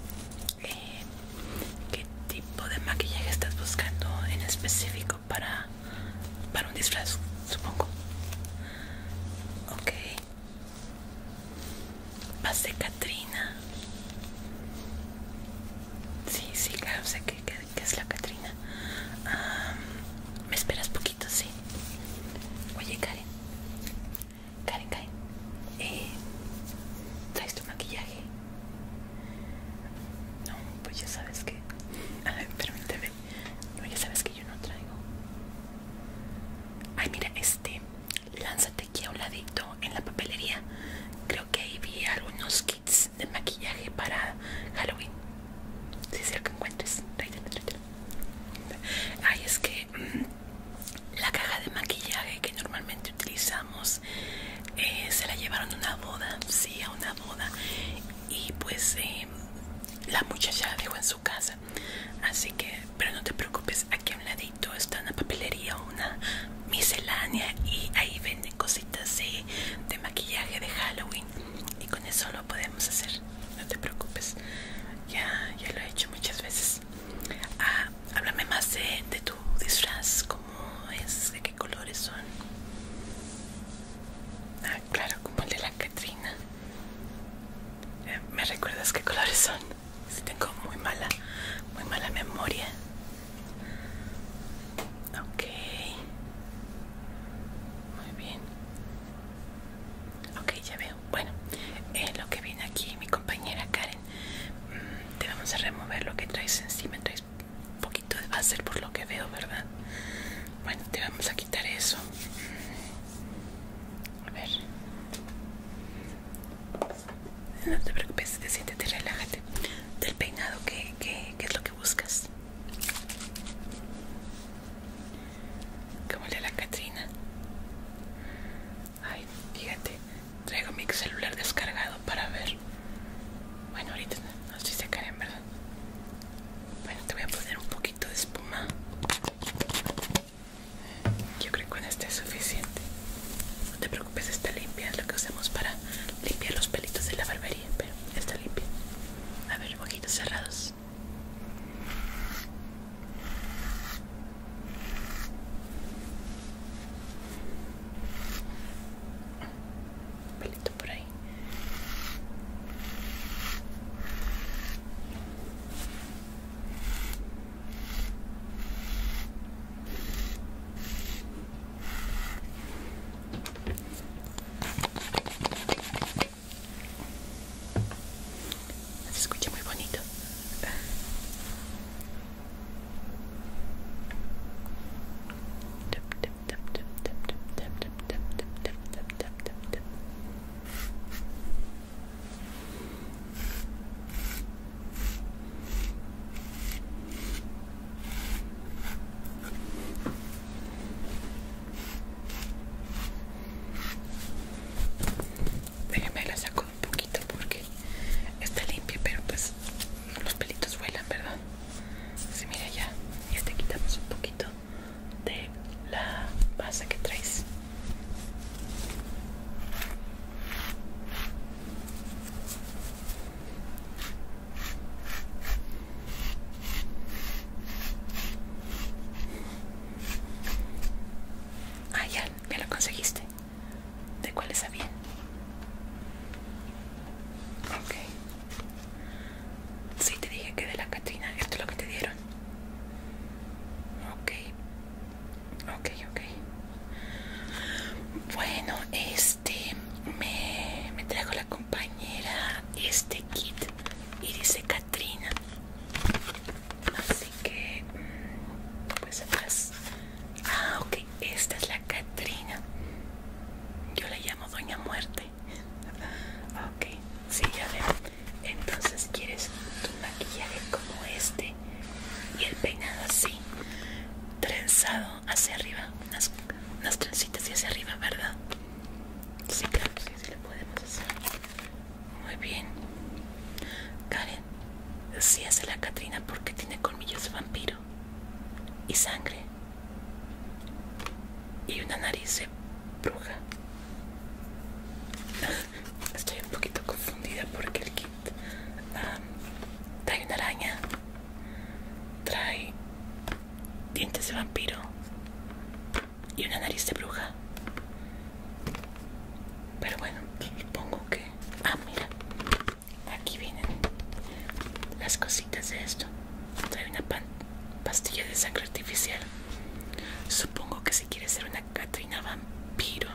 Eh, ¿Qué tipo de maquillaje estás buscando en específico? para, un disfraz, supongo. Ok. de Katrina Sí, sí, claro, sé que, es la Katrina Me esperas poquito, sí. Oye, Karen. Karen, Karen. Eh, ¿Traes tu maquillaje? No, pues ya sabes que... A ver, permíteme. No, ya sabes que yo no traigo. Ay, mira, este. Lánzate aquí a un ladito en la papelería. Creo que ahí vi algunos kits de maquillaje para Halloween. Si es lo que encuentres. Ay, es que mm, la caja de maquillaje que normalmente utilizamos eh, se la llevaron a una boda, sí, a una boda. Y pues eh, la muchacha la dejó en su casa. Así que, pero no te preocupes, aquí a un ladito está una papelería, una miscelánea y ahí venden cositas de, maquillaje de Halloween. Y con eso lo podemos hacer, no te preocupes. Ya, ya lo he hecho muchas veces. Ah, háblame más de, de tu disfraz, cómo es, de qué colores son. Ah, claro, como el de la Catrina. Eh, ¿Me recuerdas qué colores son? Si tengo muy mala, muy mala memoria. Ok. Muy bien. Ok, ya veo. Bueno, eh, lo que viene aquí, mi compañera Karen, mm, te vamos a remover lo que traes encima. Traes un poquito de ser por lo que veo, ¿verdad? Bueno, te vamos a quitar eso. A ver. No te preocupes, siéntate, relájate. Del peinado, ¿qué, es lo que buscas? ¿Cómo le la Catrina. Ay, fíjate, traigo mi celular descargado para ver. Bueno, ahorita no sé si se caen, ¿verdad? Bueno, te voy a poner un poquito de espuma. Yo creo que con este es suficiente. No te preocupes, está limpia. Es lo que usamos para limpiar los pelitos de la barbería, pero está limpia. A ver, ojitos cerrados pelito por ahí se escucha muy bonito tip, me la saco un poquito porque está limpia, pero pues los pelitos vuelan, ¿verdad? Sí, mira ya. Y este quitamos un poquito de la base que traes Ah, ya, ya lo conseguiste. ¿De cuáles sabía Ok si te dije que de la Catrina. Esto es lo que te dieron. Ok. Ok, ok. Bueno, este. Me, me trajo la compañera este kit. Y dice Catrina. Así que. Mm, pues atrás. Ah, ok. Esta es la Catrina. Yo la llamo Doña Muerte ok sí ya veo entonces quieres tu maquillaje como este y el peinado así trenzado hacia arriba unas, trencitas y hacia arriba verdad sí claro sí, sí le podemos hacer muy bien Karen sí hace la Katrina porque tiene colmillos de vampiro y sangre y una nariz de bruja Estoy un poquito confundida porque el kit trae una araña, trae dientes de vampiro y una nariz de bruja. Pero bueno, supongo que... Ah, mira. Aquí vienen las cositas de esto trae una pastilla de sangre artificial. Supongo que si quiere ser una Catrina vampiro.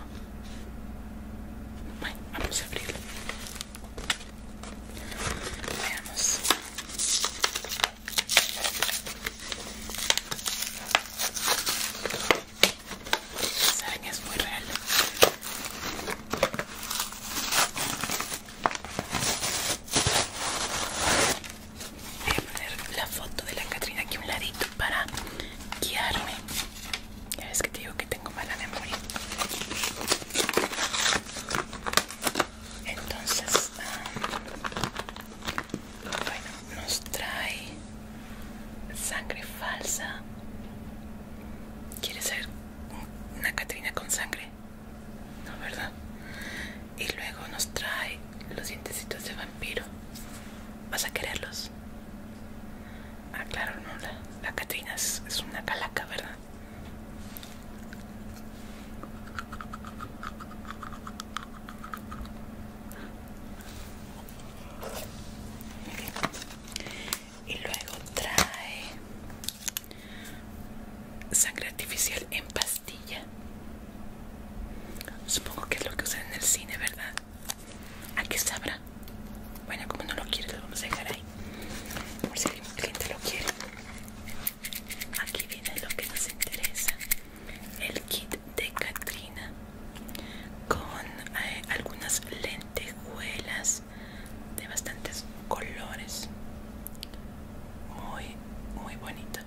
Bueno, vamos a abrirlo. Veamos. Saben, es muy real. Voy a poner la foto de la Catrina aquí a un ladito para guiarme. Ya ves que te digo que tengo mala memoria. Entonces, ah, bueno, nos trae sangre falsa. ¿Quieres ser una Catrina con sangre? ¿No, verdad? Y luego nos trae los dientecitos de vampiro. ¿Vas a quererlos? Ah, claro, no. La, Catrina es, es una calaca, ¿verdad? Y luego trae sangre artificial en pastilla. Supongo que es lo que usan en el cine, ¿verdad? Aquí sabrá. Bueno, como no lo quiere, lo vamos a dejar ahí. Por si alguien lo quiere. Aquí viene lo que nos interesa: el kit de Katrina con eh, algunas lentejuelas de bastantes colores. Muy, muy bonito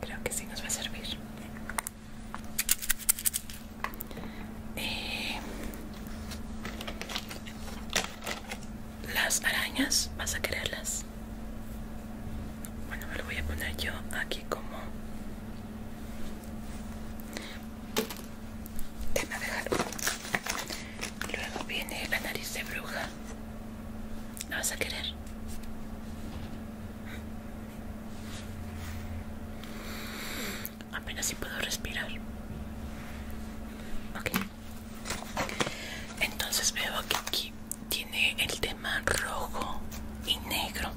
Creo que sí nos va a servir. Eh, las arañas, ¿vas a quererlas? Bueno, me lo voy a poner yo aquí como... Déjame dejar. Luego viene la nariz de bruja. ¿La vas a querer? Apenas si puedo respirar. Ok. Entonces veo que aquí tiene el tema rojo y negro.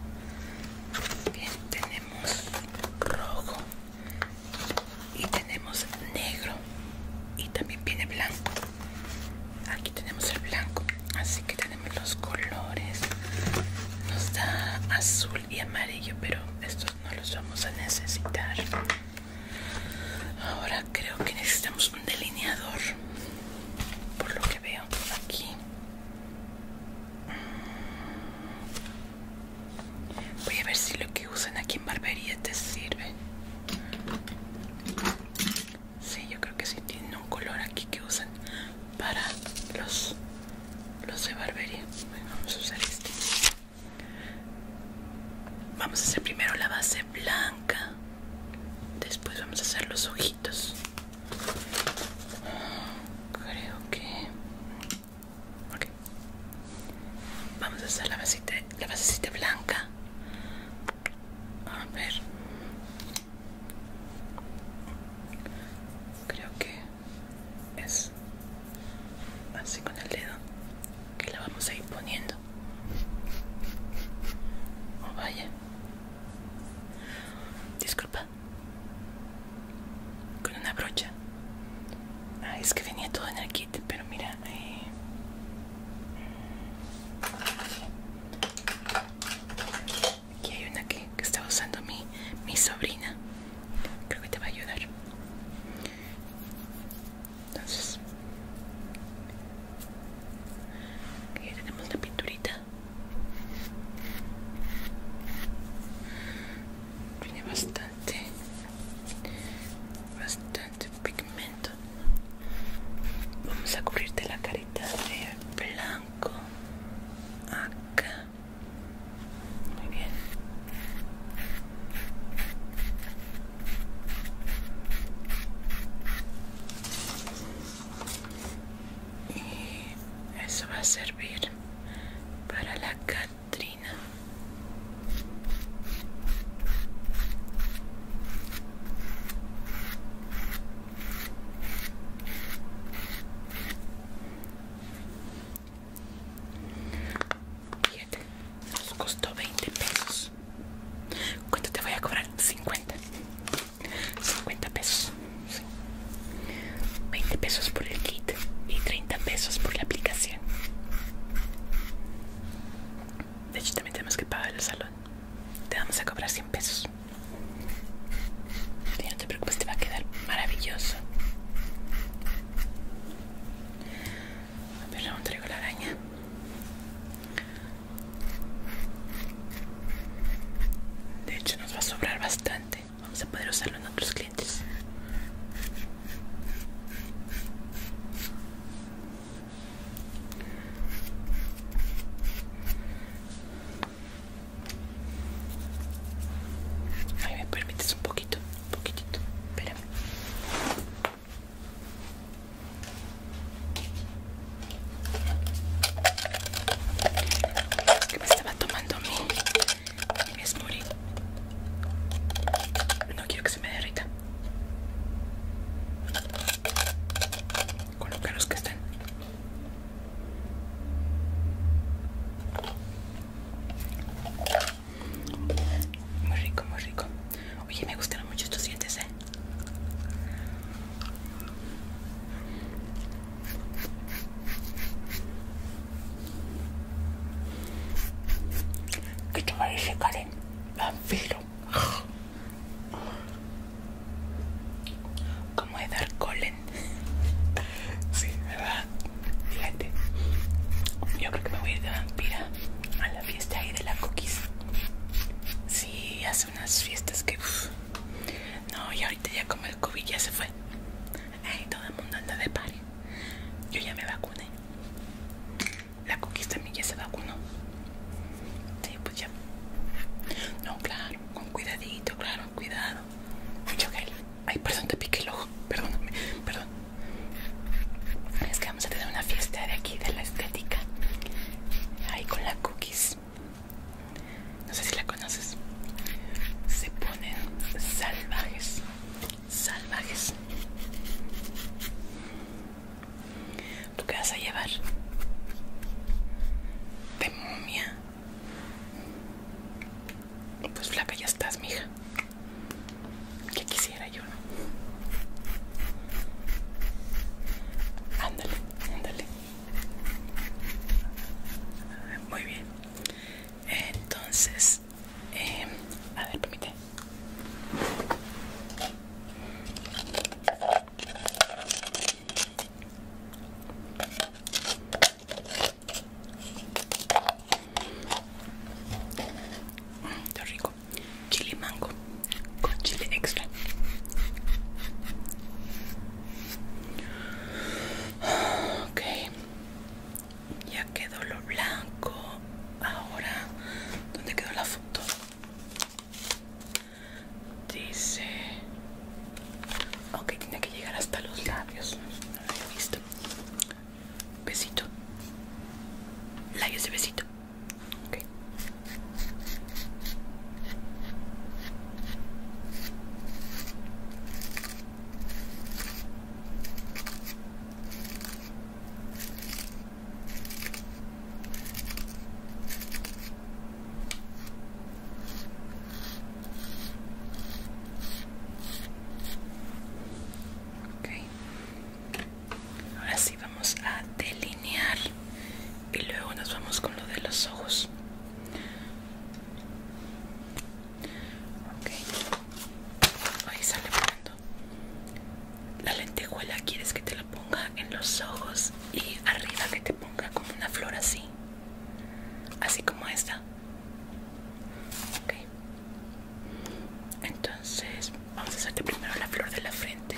Bien, tenemos rojo y tenemos negro y también viene blanco aquí tenemos el blanco así que tenemos los colores nos da azul y amarillo pero estos no los vamos a necesitar ahora creo que necesitamos un delineador por lo que veo aquí mm. Voy a ver si lo que usan aquí en barbería te sirve. Sí, yo creo que sí tiene un color aquí que usan para los, los de barbería. vamos a usar este. Vamos a hacer primero la base blanca. Después vamos a hacer los ojitos. Creo que... Vamos a hacer la base la basecita blanca a ver creo que es así con el dedo que la vamos a ir poniendo oh vaya disculpa con una brocha ah, es que venía todo en el kit pero mira eh. Aquí hay una que, está usando mi, mi sobrina. Creo que te va a ayudar. Entonces, aquí tenemos la pinturita. Tiene bastante, bastante pigmento vamos a cubrirte la carita de blanco acá muy bien y eso va a servir para la catrina nos costó 20 pesos. ¿Cuánto te voy a cobrar? 50. 50 pesos. 20 pesos por el kit y 30 pesos por la aplicación. De hecho, también tenemos que pagar el salón te vamos a cobrar 100 pesos. no te preocupes, te va a quedar maravilloso. ver, no traigo la araña. De hecho, nos va a sobrar bastante. Vamos a poder usarlo en otros clientes. Ay, me permites un poquito, un poquitito, espérame. Que me estaba tomando mi, mi No quiero que se me derrita con los que están. Muy rico, muy rico. Oye, me gustaron mucho estos dientes, ¿eh? ¿Qué te parece, Karen? Vampiro. Como Dar si sí, ¿verdad? Fíjate. Yo creo que me voy a ir de vampira a la fiesta ahí de la cookies. Sí, hace unas fiestas que... No, y ahorita ya como el COVID ya se fue. todo el mundo anda de par, Yo ya me vacuné la cookies también ya se vacunó. Sí, pues ya. No, claro, con cuidadito, claro, cuidado. Mucho gel. Ay, perdón, te piqué el ojo. Perdóname, perdón. Es que vamos a tener una fiesta de aquí, de la estética. Ahí con la cookies. No sé si la conoces. Se ponen salvajes. Salvajes. ¿Tú qué vas a llevar? ¿De mumia? Pues flaca ya estás, mija. ¿Qué quisiera yo, no? Ándale, ándale. Muy bien. Entonces, em, a ver, permíteme. Está rico. Chile mango con chile extra. Ok. Ya quedó lo blanco. Ahora, ¿dónde quedó la foto? Dice... Ok, tiene que llegar hasta los labios. No lo he visto. Besito. Labios de besito. Okay. Ahora sí vamos a delinear y luego nos vamos con lo de los ojos. Ahí sale la lentejuela quieres que te la ponga en los ojos y arriba que te ponga como una flor así. Así como esta. Ok. Entonces vamos a hacerte primero la flor de la frente.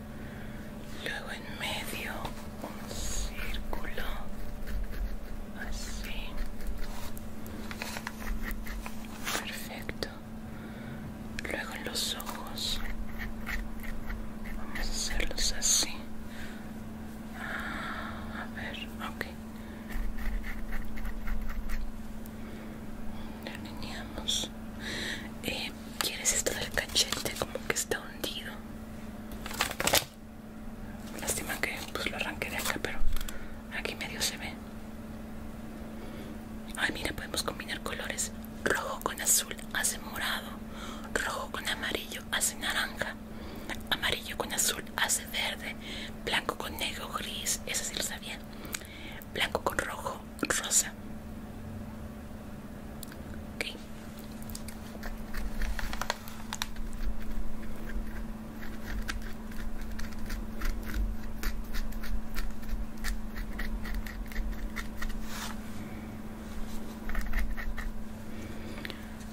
luego en medio un círculo así perfecto luego en los ojos vamos a hacerlos así ah, a ver ok delineamos eh, quieres esto del cachete como que está Lástima que pues lo arranqué de acá, pero aquí medio se ve. Ah, mira, podemos combinar colores. Rojo con azul hace morado. Rojo con amarillo hace naranja. Amarillo con azul hace verde. Blanco con negro gris. ¿ese sí lo sabía. Blanco con rojo rosa.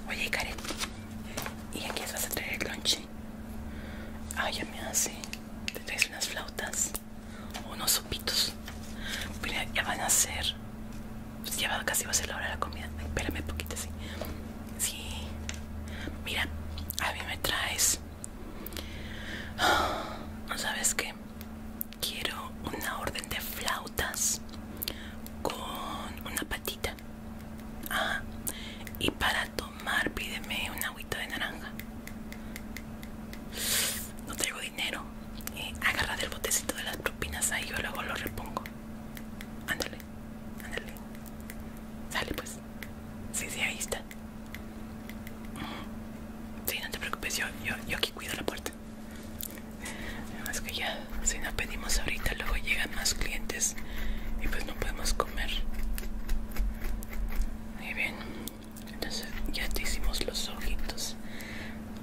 Oye, Karen, ¿y aquí vas a traer el lunch? Ah, ya me hace. Te traes unas flautas, unos sopitos. Pero ya van a ser Lleva casi va a ser la hora de la comida. Espérame un poquito, sí. Sí. Mira, a mí me traes. no ¿Sabes qué? Quiero una orden de flautas con una patita. Ah, y para tomar, pídeme un agüita de naranja. No traigo dinero eh, agarra del botecito de las propinas ahí yo luego lo repongo. Ándale, ándale. Sale pues. Sí, sí, ahí está. Sí, no te preocupes, yo, aquí cuido la puerta. Además que ya, si nos pedimos ahorita, luego llegan más clientes y pues no podemos comer. Muy bien, entonces ya te hicimos los ojitos.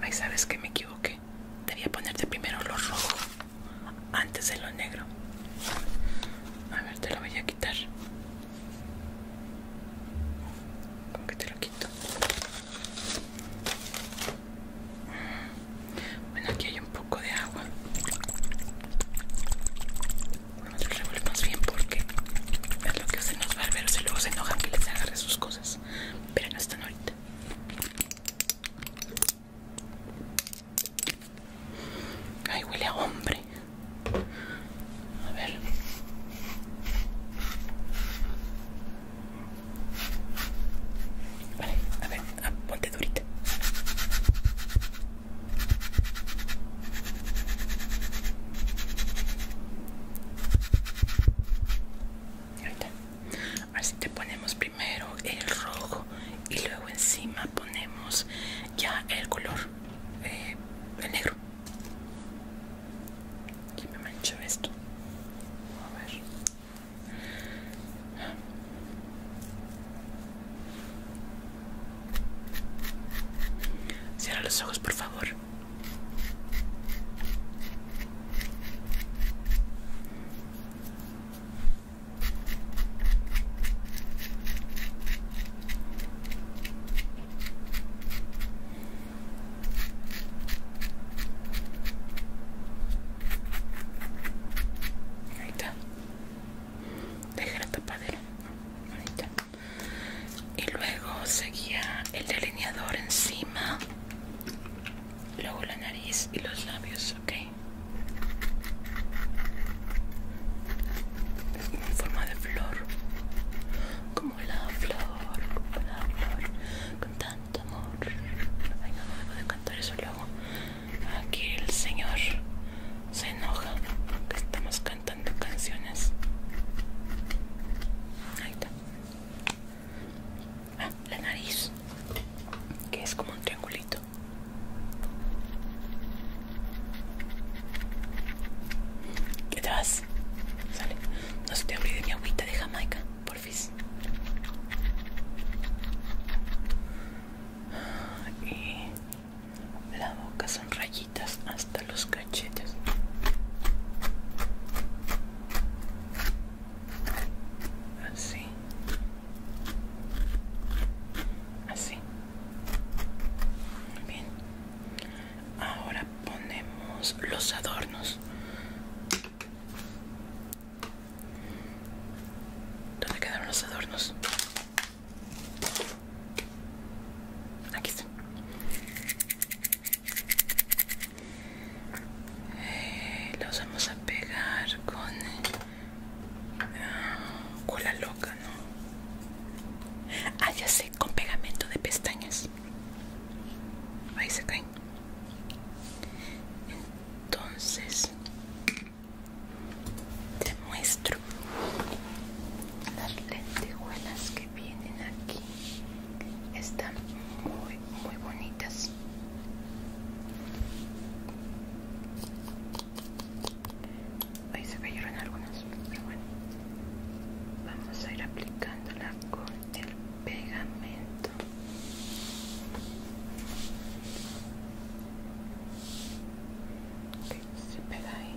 ahí sabes que me equivoqué. Debería debía ponerte primero lo rojo antes de lo negro. A ver, te lo voy a quitar. ¿Cómo que te lo quito? Bueno, aquí hay un poco de agua. Vamos a revolver más bien porque es lo que hacen los barberos y luego se enojan que les agarre sus cosas. Pero no están ahorita. Ay, huele a hombre. A ver. Vale, a ver, a ah, ponte durita. Ahí está así te ponemos primero el rojo y luego encima ponemos ya el color eh, negro aquí me mancho esto a ver Cierra los ojos, por favor. Ahí está. déjala la tapadera. Y luego seguía el delineador encima luego la nariz y los labios, ok. Es como en forma de flor, como la flor, como la flor, con tanto amor. Ay, no, de cantar eso luego. Aquí el señor se enoja porque estamos cantando canciones. Ahí está ah, la nariz que es como un triangulito ¿Qué te No se te olvide mi agüita de Jamaica, porfis. Y la boca son rayitas hasta los cachetes así así bien ahora ponemos los adornos ¿Dónde quedaron los adornos? Aquí están los vamos a pegar con ah, cola loca no ah ya sé con pegamento de pestañas ahí se caen entonces te muestro las lentejuelas que vienen aquí están muy muy bonitas Ahí se cayeron algunos, pero bueno. Vamos a ir aplicándola con el pegamento. se pega ahí.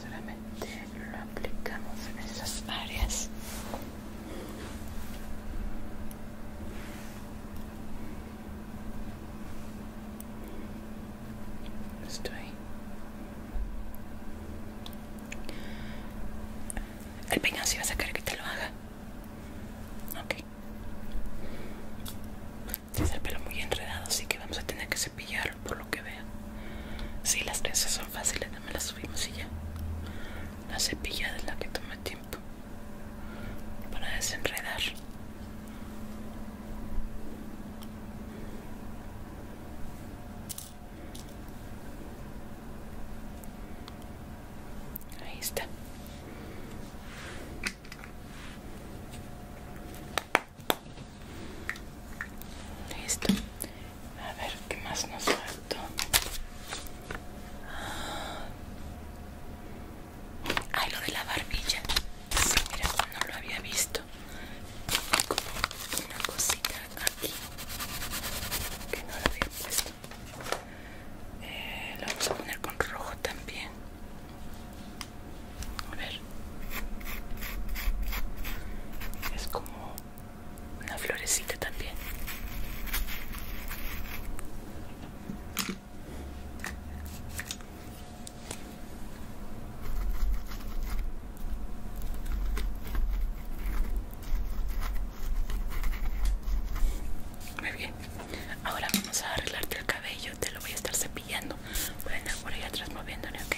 Solamente lo aplicamos en esas áreas. Estoy. El peinado si va a sacar que te lo haga. Ok. Tienes el pelo muy enredado, así que vamos a tener que cepillar por lo que veo. Si sí, las trenzas son fáciles, dame las subimos y ya. La cepilla es la que toma tiempo para desenredar. Ahí está. Listo. A ver qué más nos falta. Ah, lo de la barbilla. mira, no lo había visto una cosita aquí que no la había puesto eh, la vamos a poner con rojo también a ver es como una florecita también muy bien, ahora vamos a arreglarte el cabello, te lo voy a estar cepillando. Voy a por ahí atrás moviéndole, ok.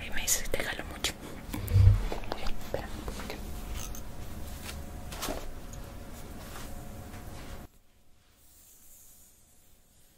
Ahí me dices, te jalo mucho. espera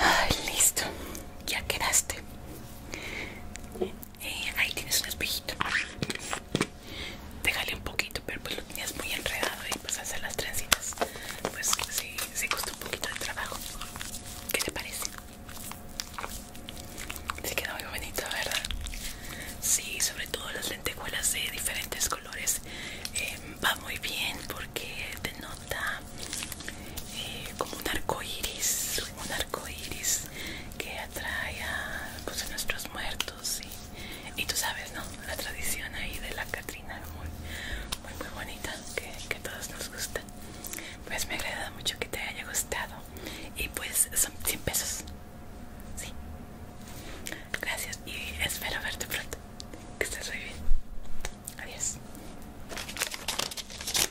Ay, listo, ya quedaste. Eh, ahí tienes un espejito. Déjale un poquito, pero pues lo tenías muy enredado y pues hacer las trencitas. Pues sí, sí costó un poquito de trabajo. ¿Qué te parece? Se queda muy bonito, ¿verdad? Sí, sobre todo las lentejuelas de diferentes colores. Eh, va muy bien porque denota eh, como un arco iris un arco iris que atrae a, pues, nuestros muertos y, tú sabes no la tradición ahí de la Catrina muy muy bonita que, que todos nos gusta pues me agrada mucho que te haya gustado y pues son 100 pesos sí gracias y espero verte pronto que estés muy bien adiós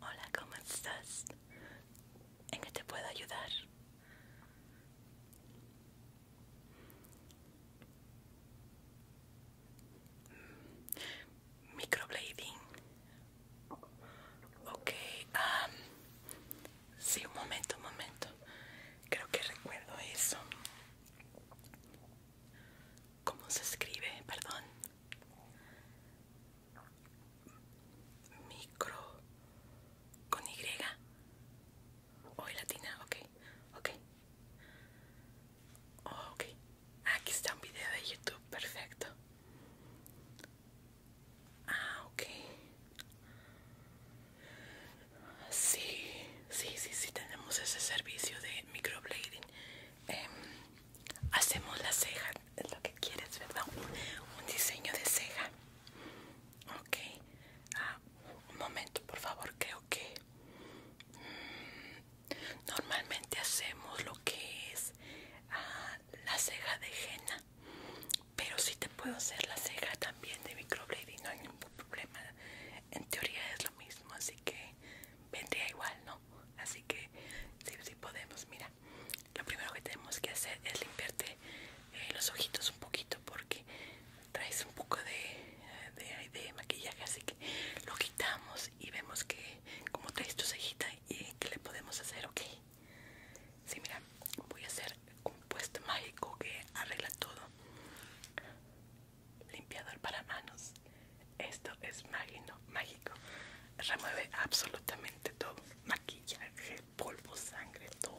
Hola, ¿cómo estás? ¿En qué te puedo ayudar? Microblading. Ok, um, sí, un momento, un momento. Creo que recuerdo eso. ¿Cómo se escribe? Perdón. Micro con Y. O latina, ok, ok. aquí está un video de YouTube, perfecto. Ah, ok. Sí, sí, sí, sí, tenemos ese servicio de microblading. Em, hacemos la ceja, es lo que quieres, ¿verdad? Un, diseño de ceja. Ok. Ah, un momento, por favor, creo que... Mm, normalmente hacemos lo que es ah, la ceja de henna. Pero si te puedo hacer la ceja también de microblading, no hay ningún problema. En teoría es lo mismo, así que vendría igual, ¿no? Así que sí, sí podemos, mira. Lo primero que tenemos que hacer es limpiarte eh, los ojitos un poquito porque traes un poco de, de, maquillaje, así que lo quitamos y vemos que como traes tu cejita y que le podemos hacer, ¿ok? Sí, mira, voy a hacer un puesto mágico que arregla todo. Limpiador para manos. Esto es magno, mágico. Remueve absolutamente todo. Maquillaje, polvo, sangre, todo.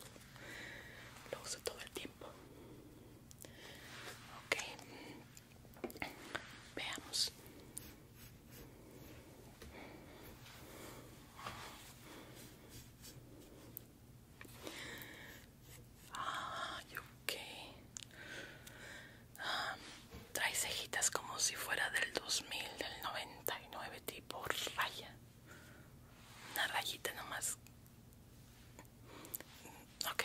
Lo uso todo el tiempo. Ok. Veamos. ok. Ah, trae cejitas como si fuera del 2000, del 99 tipo raya. Una rayita nomás. Ok.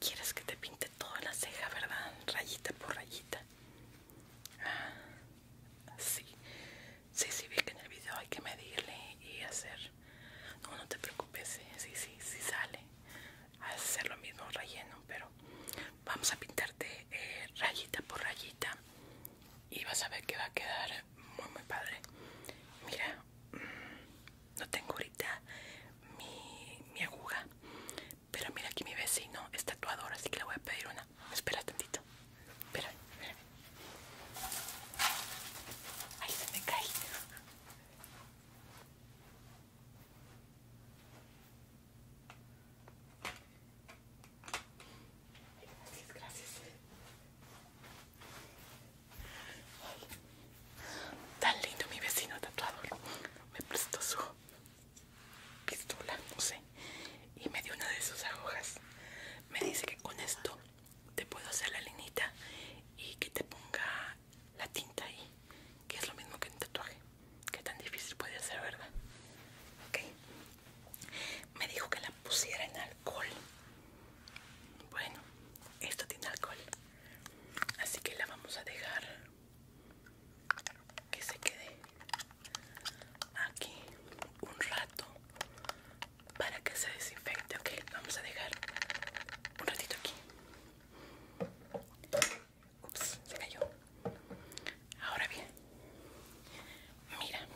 Quieres que te pinte toda la ceja, ¿verdad? Rayita por rayita. Ah, sí. Sí, sí, vi que en el video hay que medirle y hacer. No, no te preocupes. ¿eh? sí, sí, sí sale hacer lo mismo relleno pero vamos a pintarte eh, rayita por rayita y vas a ver que va a quedar muy muy padre mira mm, no tengo ahorita mi, aguja pero mira aquí mi vecino es tatuador así que le voy a pedir una espera tantito pero Ahí se me cae Gracias, gracias. Tan lindo mi vecino tatuador. Me prestó su pistola, no sé. Y me dio una de sus agujas. Me dice que con esto te puedo hacer la linita y que te ponga la tinta ahí, que es lo mismo que un tatuaje. que tan difícil puede ser, ¿verdad? Ok. Me dijo que la pusiera en alcohol. Bueno, esto tiene alcohol. Así que la vamos a dejar que se quede aquí un rato para que se desinfecte. Ok, vamos a dejar un ratito aquí. Ups, se cayó. Ahora bien, mira,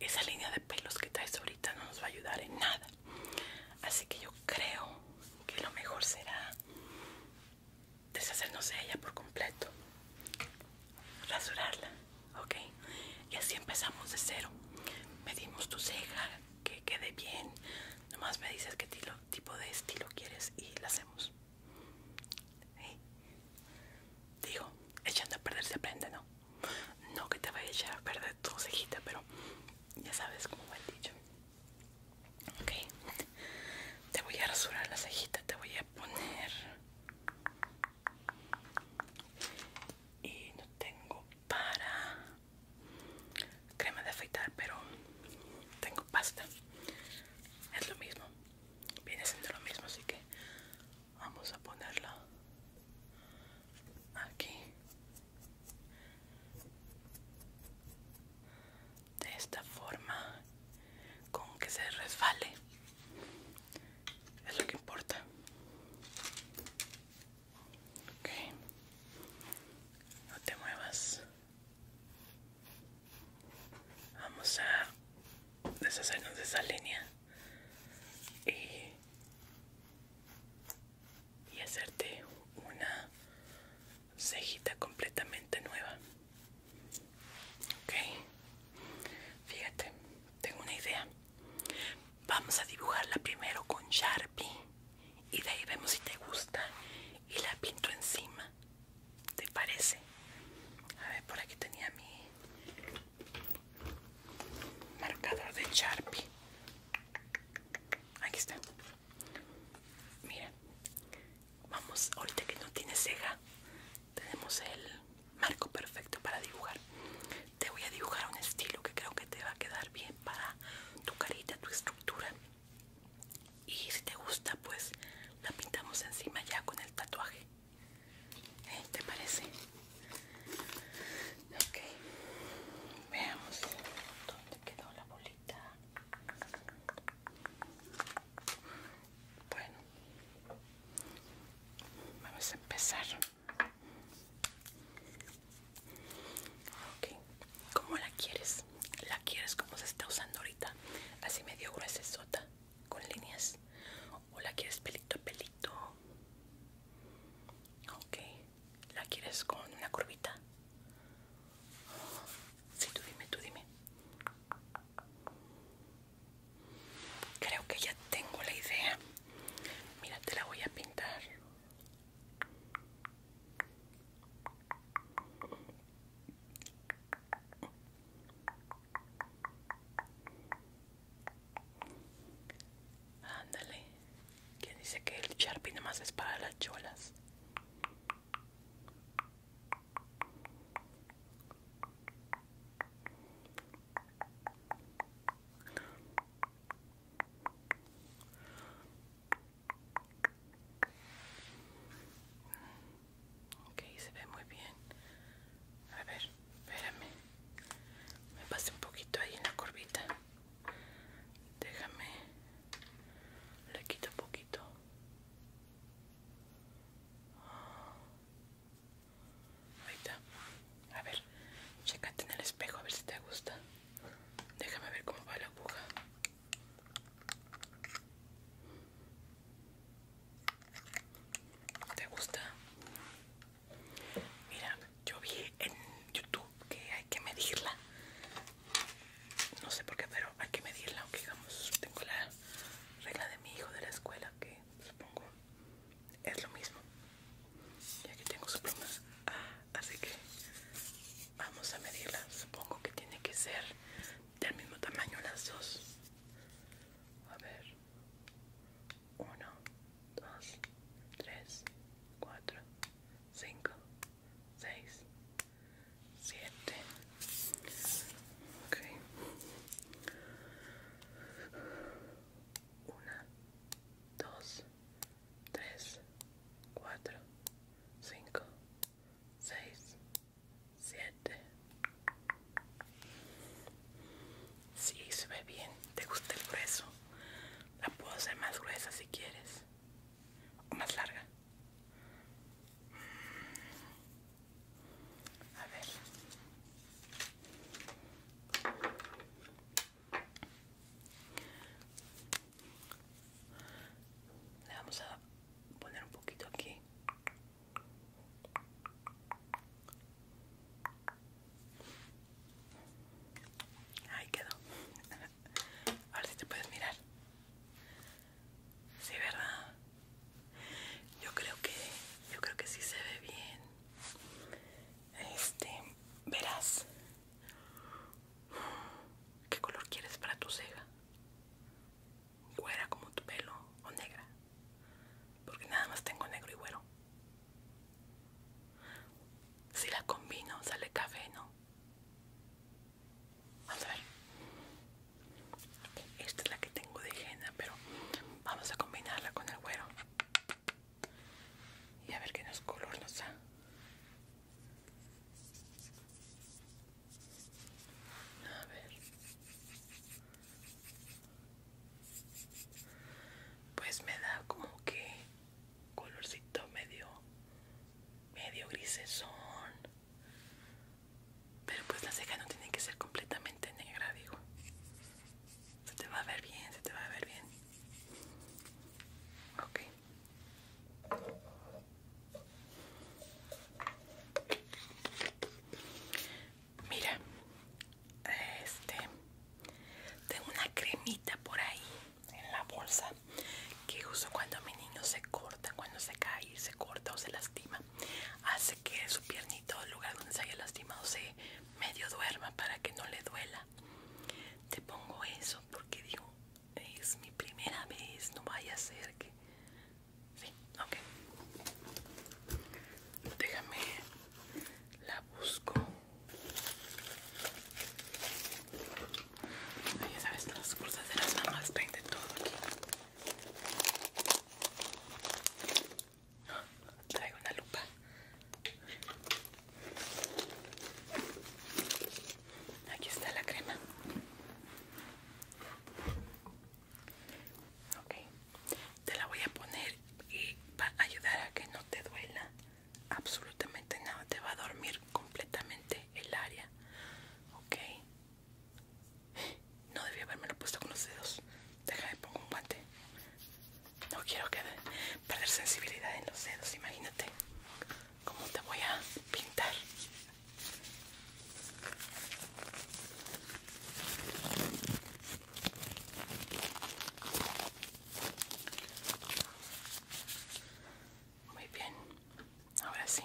esa línea de pelos que traes ahorita no nos va a ayudar en nada. Así que yo creo que lo mejor será deshacernos de ella por completo. Rasurarla, ¿ok? Y así empezamos de cero. Medimos tu ceja, que quede bien. Nomás me dices qué tipo de estilo quieres y la hacemos. Digo, echando a perder se aprende, ¿no? No que te vaya a echar a perder tu cejita, pero ya sabes cómo me dicho. Ok, te voy a rasurar la cejita, te voy a poner. Y no tengo para crema de afeitar pero tengo pasta es lo mismo viene siendo lo mismo así que vamos a ponerla aquí de esta forma con que se resbale es lo que importa Ok, No te muevas. Vamos a deshacernos de esa línea y, y hacerte una cejita completamente nueva. Ok, fíjate, tengo una idea. Vamos a dibujarla primero con Sharpie y de ahí vemos si te gusta y la pinto encima. ¿Te parece? A ver, por aquí tenía mi marcador de Sharpie. Aquí está. Mira, vamos, ahorita que no tiene ceja, tenemos el marco perfecto para dibujar. Te voy a dibujar un estilo que creo que te va a quedar bien para tu carita, tu estructura y si te gusta pues la pintamos encima ya con el tatuaje ¿Eh? ¿te parece? ok veamos dónde quedó la bolita bueno vamos a empezar Ok, ¿cómo la quieres? ¿La quieres como se está usando ahorita? Así medio sota con líneas. ¿O la quieres pelito a pelito? Ok, ¿la quieres con una curvita? Sí, tú dime, tú dime. Creo que ya tengo la idea. Mira, te la voy a pintar. Ándale. ¿Quién dice que el Sharpie no más es para las cholas? Ok, se ve muy bien. A ver, espérame. Me pasé un poquito ahí en la curvita. Déjame. Le quito un poquito. Ahí está. A ver, checate en el espejo a ver si te gusta. Déjame ver cómo va la aguja. ¿Te gusta? Mira, yo vi en YouTube que hay que medirla. No sé por qué, pero hay que medirla. Aunque digamos, tengo la regla de mi hijo de la escuela que supongo es lo mismo. Ya que tengo su pluma. Ah, así que vamos a medirla supongo que tiene que ser del mismo tamaño las dos a ver 1 2 3 4 5 6 7 ok 1 2 3, 4, 5, 6, 7. Si, se ve bien. ¿Te gusta el grueso? La puedo hacer más gruesa si quieres. más larga. A ver le vamos a poner un poquito aquí ahí quedó ver si te puedes mirar sí verdad yo creo que yo creo que sí se ve bien este verás ¿Qué color quieres para tu ceja? Guera como tu pelo o negra? Porque nada más tengo negro y güero. Si la combino, sale café, ¿no? Vamos a ver. Esta es la que tengo de henna, pero vamos a combinarla con el güero. Y a ver qué nos color nos da. A ver. Pues me da como que colorcito medio medio grisesón. Pero pues la ceja no tiene que ser completamente negra, digo. Se te va a ver bien, se te va a ver bien. Ok. Mira, este tengo una cremita por ahí en la bolsa que uso cuando mi niño se corta, cuando se cae, se corta o se lastima. Hace que su piernito, el lugar donde se haya lastimado, se medio duerma para que no le duela. Te pongo eso porque digo, es mi primera vez, no vaya a ser que... Sí, ok. Déjame, la busco. Ya sabes, las cosas de las mamás traen de todo aquí. Ah, Traigo una lupa. Aquí está la crema. Ok, te la voy a poner y va a ayudar a que no te duela absolutamente nada. Te va a dormir completamente el área. Ok, no debía haberme lo puesto con los dedos. Déjame pongo un guante. No quiero que perder sensibilidad en los dedos, imagínate cómo te voy a pintar. Muy bien, ahora sí.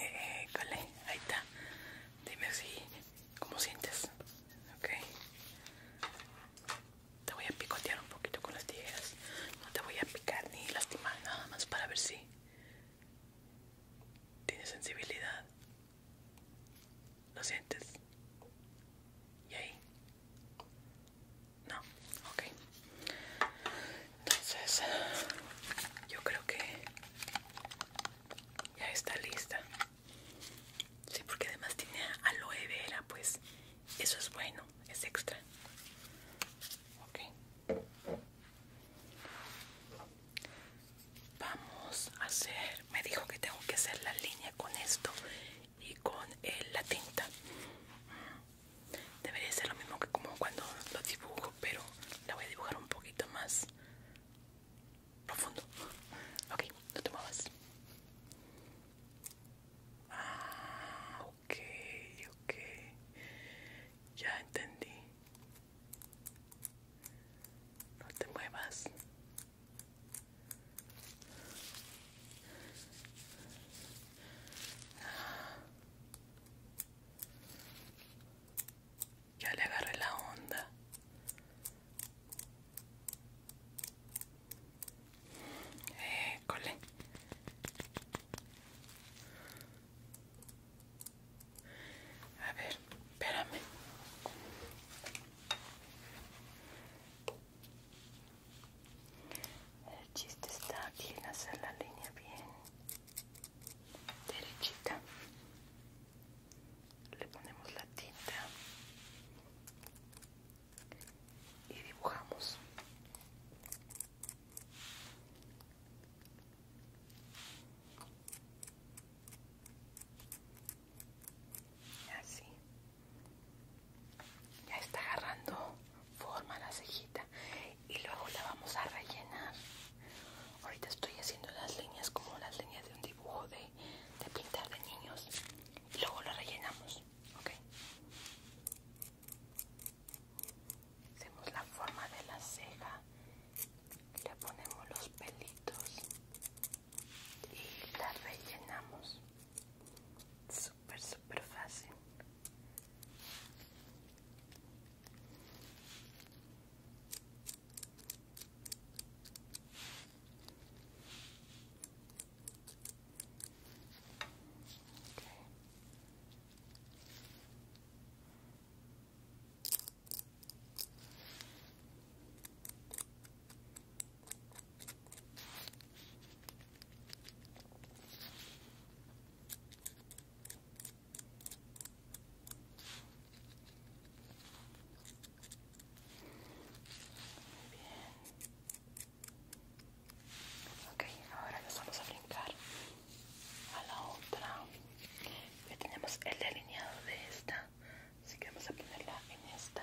Eh, École, ahí está. Dime si cómo sientes. okay Te voy a picotear un poquito con las tijeras. No te voy a picar ni lastimar, nada más para ver si tienes sensibilidad. ¿Lo sientes? ¿Y ahí? No, ok. Entonces, yo creo que ya está lista. Sí, porque además tiene aloe vera, pues eso es bueno, es extra. Ok vamos a hacer me dijo que tengo que hacer la línea con esto y con eh, la tinta debería ser lo mismo que como cuando lo dibujo pero la voy a dibujar un poquito más profundo ok no te ah ok ok ya entendí no te muevas. Ya le agarré la onda. Cole. A ver, espérame. El chiste está aquí en hacer la línea bien derechita. Le ponemos la tinta y dibujamos. Así. Ya está agarrando forma la cejita. Y luego la vamos a rellenar. Ahorita estoy haciendo las líneas como las líneas de un dibujo de, de pintar de niños. Y luego la rellenamos. ¿Ok? Hacemos la forma de la ceja. Le ponemos los pelitos y la rellenamos súper súper fácil Ok, ahora nos vamos a brincar a la otra. Ya tenemos el delineado de esta así que vamos a ponerla en esta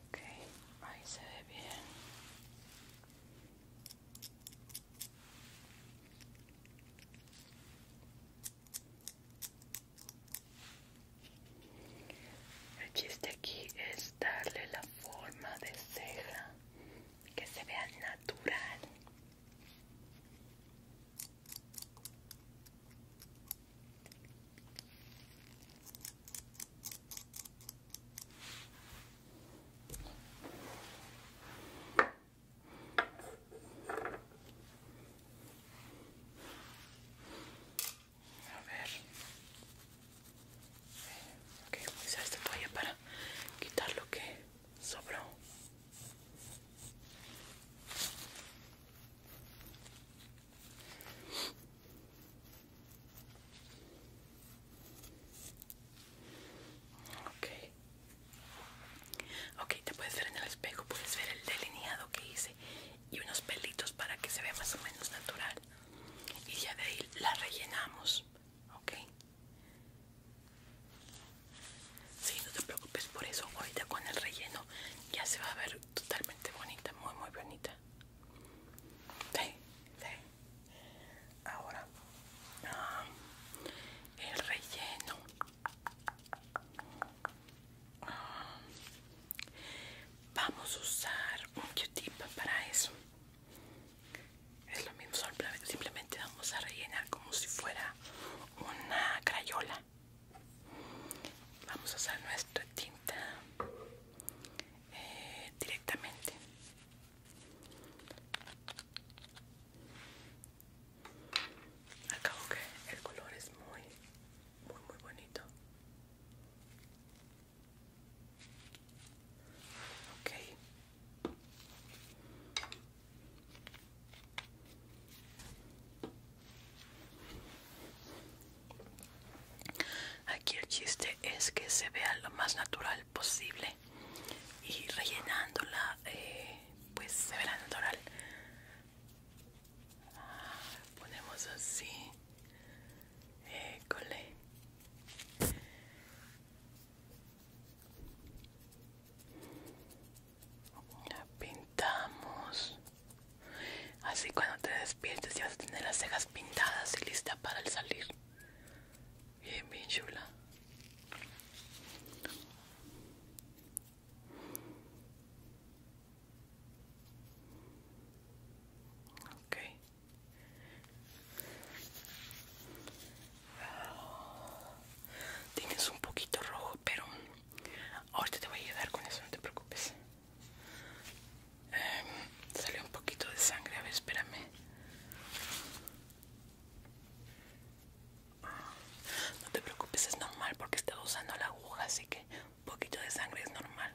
Ok, ahí se ve bien. El chiste aquí es darle la forma de ceja que se vea natural. A ver, eh, ok, voy a usar esta toalla para quitar lo que sobró. Ok. Ok, te puedes ver en el espejo, puedes ver el delineado que hice y unos pelitos para que se vea más o menos natural. Y ya de ahí la rellenamos. Ok. Sí, no te preocupes por eso. Ahorita con el relleno ya se va a ver totalmente bonita, muy, muy bonita. Sí, ahora ah, el relleno ah, vamos a usar un q para eso es lo mismo simplemente vamos a rellenar como si fuera una crayola vamos a usar nuestra tinta eh, directamente acabo que el color es muy muy muy bonito ok Aquí el chiste es que se vea lo más natural posible y rellenándola, eh, pues se verá natural. Ah, ponemos así. École. La pintamos. Así cuando te despiertes ya vas a tener las cejas pintadas y lista para el salir. Bien, bien chula. okay Tienes un poquito rojo, pero ahorita te voy a ayudar con eso, no te preocupes. Eh, em, salió un poquito de sangre, a ver, espérame. No te preocupes, es normal porque estaba usando la aguja, así que un poquito de sangre es normal.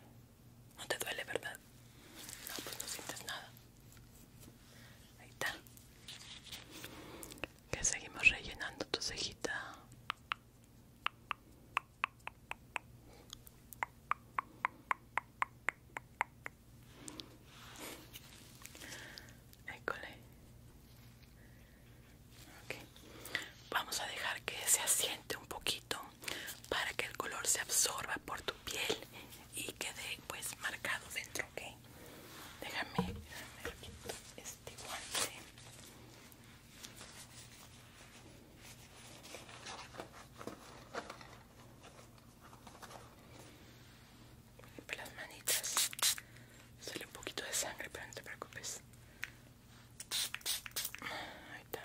No te duele, ¿verdad? No, pues no sientes nada. Ahí está. Que seguimos rellenando tu cejita. Vamos a dejar que se asiente un poquito para que el color se absorba por tu piel y quede pues marcado dentro, Déjame, déjame este guante las manitas sale un poquito de sangre, pero no te preocupes. Ahí está.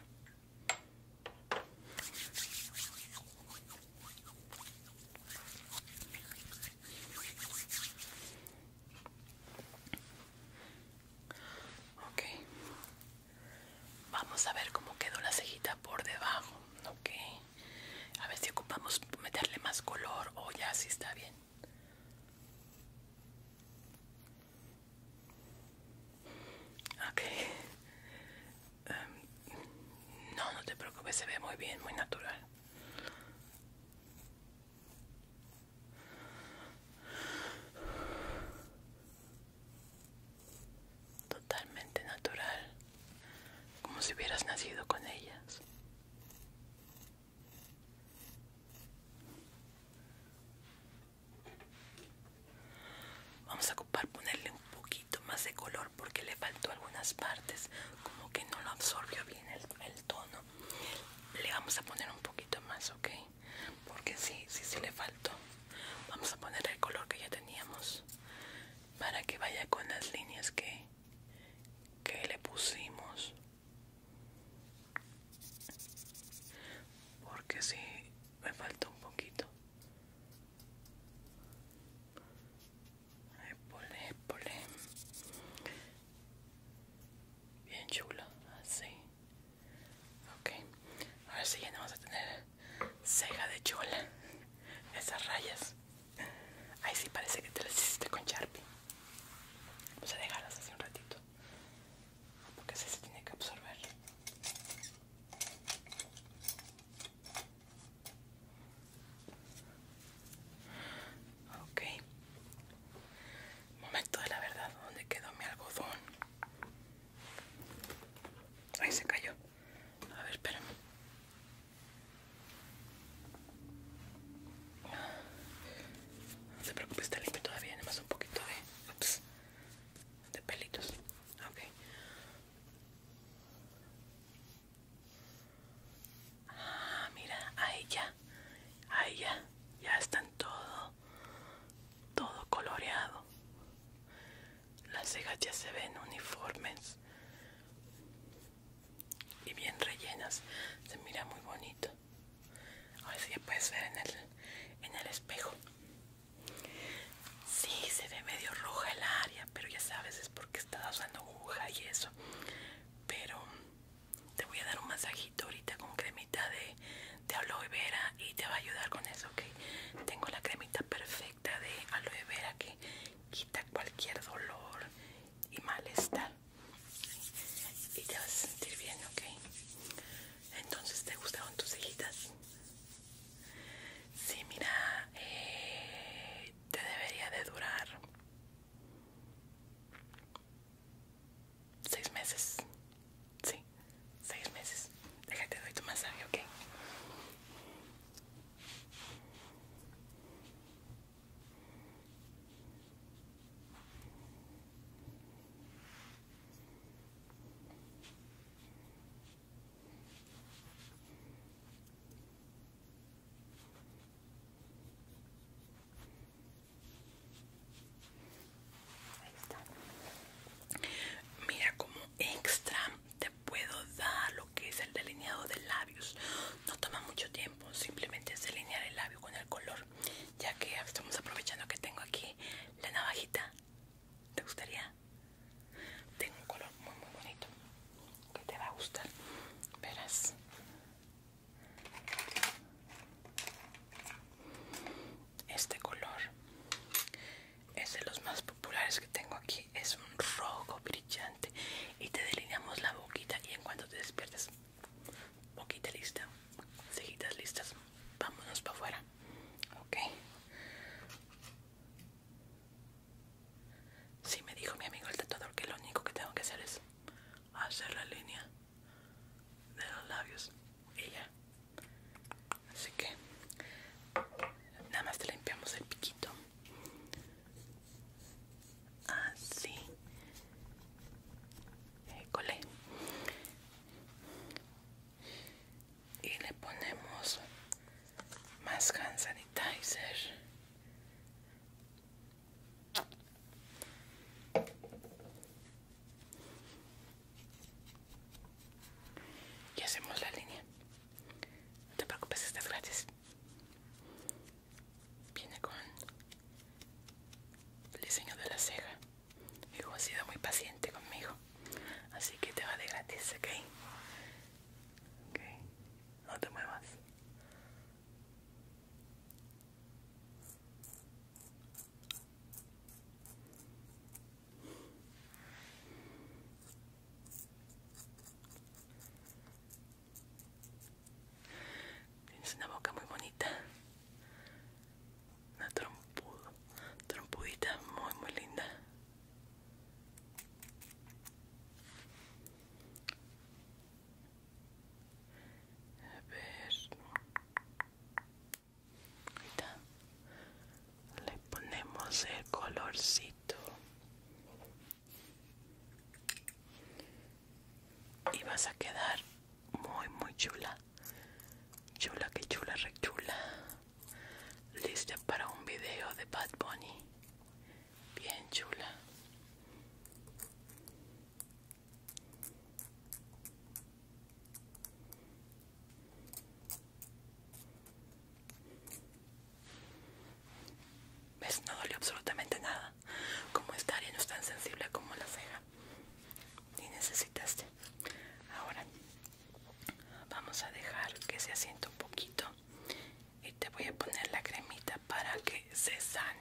Ok, Vamos a ver cómo quedó la cejita por debajo, ¿ok? A ver si ocupamos meterle más color o ya si está bien. Ok. Em, no, no te preocupes, se ve muy bien, muy natural totalmente natural, como si hubieras nacido con ellas. Vamos a ocupar ponerle un poquito más de color porque le faltó algunas partes, como que no lo absorbió bien el, tono. Le vamos a poner un poquito más, ¿ok? Porque sí, si sí le faltó vamos a poner el color que ya teníamos para que vaya con las líneas que, que le pusimos porque si me falta un poquito Ahí Bien chulo, así. Ok, ahora sí ya no vamos a tener ceja de chola. Esas rayas. Ahí sí parece que te las hiciste con Sharpie. Vamos a dejarlas hace un ratito. Porque así se tiene que absorber. Ok. Momento de la verdad. donde quedó mi algodón? Ahí se cayó. A ver, espérame. No se preocupe, está limpio todavía, nada más un poquito de, de pelitos. Ok. Ah, mira, ahí ya, ahí ya, ya están todo, todo coloreado. Las cejas ya se ven uniformes y bien rellenas. Se mira muy bonito. Ahora sí puedes ver en el, espejo. Sí, se ve medio roja el área, pero ya sabes, es porque estás usando aguja y eso. Pero te voy a dar un masajito ahorita con cremita de, de aloe vera y te va a ayudar con eso. Tengo la cremita perfecta de aloe vera que quita cualquier dolor y malestar. Y te vas a sentir bien, ok. Entonces, ¿te gustaron tus hijitas Sí, mira, eh, te debería de durar seis meses. Sí seis meses. Déjate, doy tu masaje, ¿ok? Mira como extra puedo dar lo que es el delineado de labios. No toma mucho tiempo, simplemente es delinear el labio con el color. Ya que estamos aprovechando que tengo aquí la navajita. ¿Te gustaría? Tengo un color muy muy bonito que te va a gustar. Verás. Este color es de los más populares que tengo aquí es un rojo brillante y te delineamos la boquita y en cuanto te despiertes boquita lista cejitas listas vámonos para afuera ok sí, me dijo mi amigo el tatuador que lo único que tengo que hacer es hacer la línea de los labios y ya así que nada más te limpiamos el piquito así École. y le ponemos más hand sanitizer y hacemos la línea no te preocupes estás gratis viene con el diseño de la ceja hijo ha sido muy paciente conmigo así que te va de gratis ok ok no te muevas Tienes una boca muy bonita. Una trompudita muy, muy linda. A ver le ponemos el colorcito y vas a quedar muy muy chula chula que chula re chula lista para un video de Bad Bunny bien chula ¿Ves? No dolió absolutamente nada. Como esta área no es tan sensible como la ceja. Y necesitaste. Ahora vamos a dejar que se asiente un poquito. Y te voy a poner la cremita para que se sane.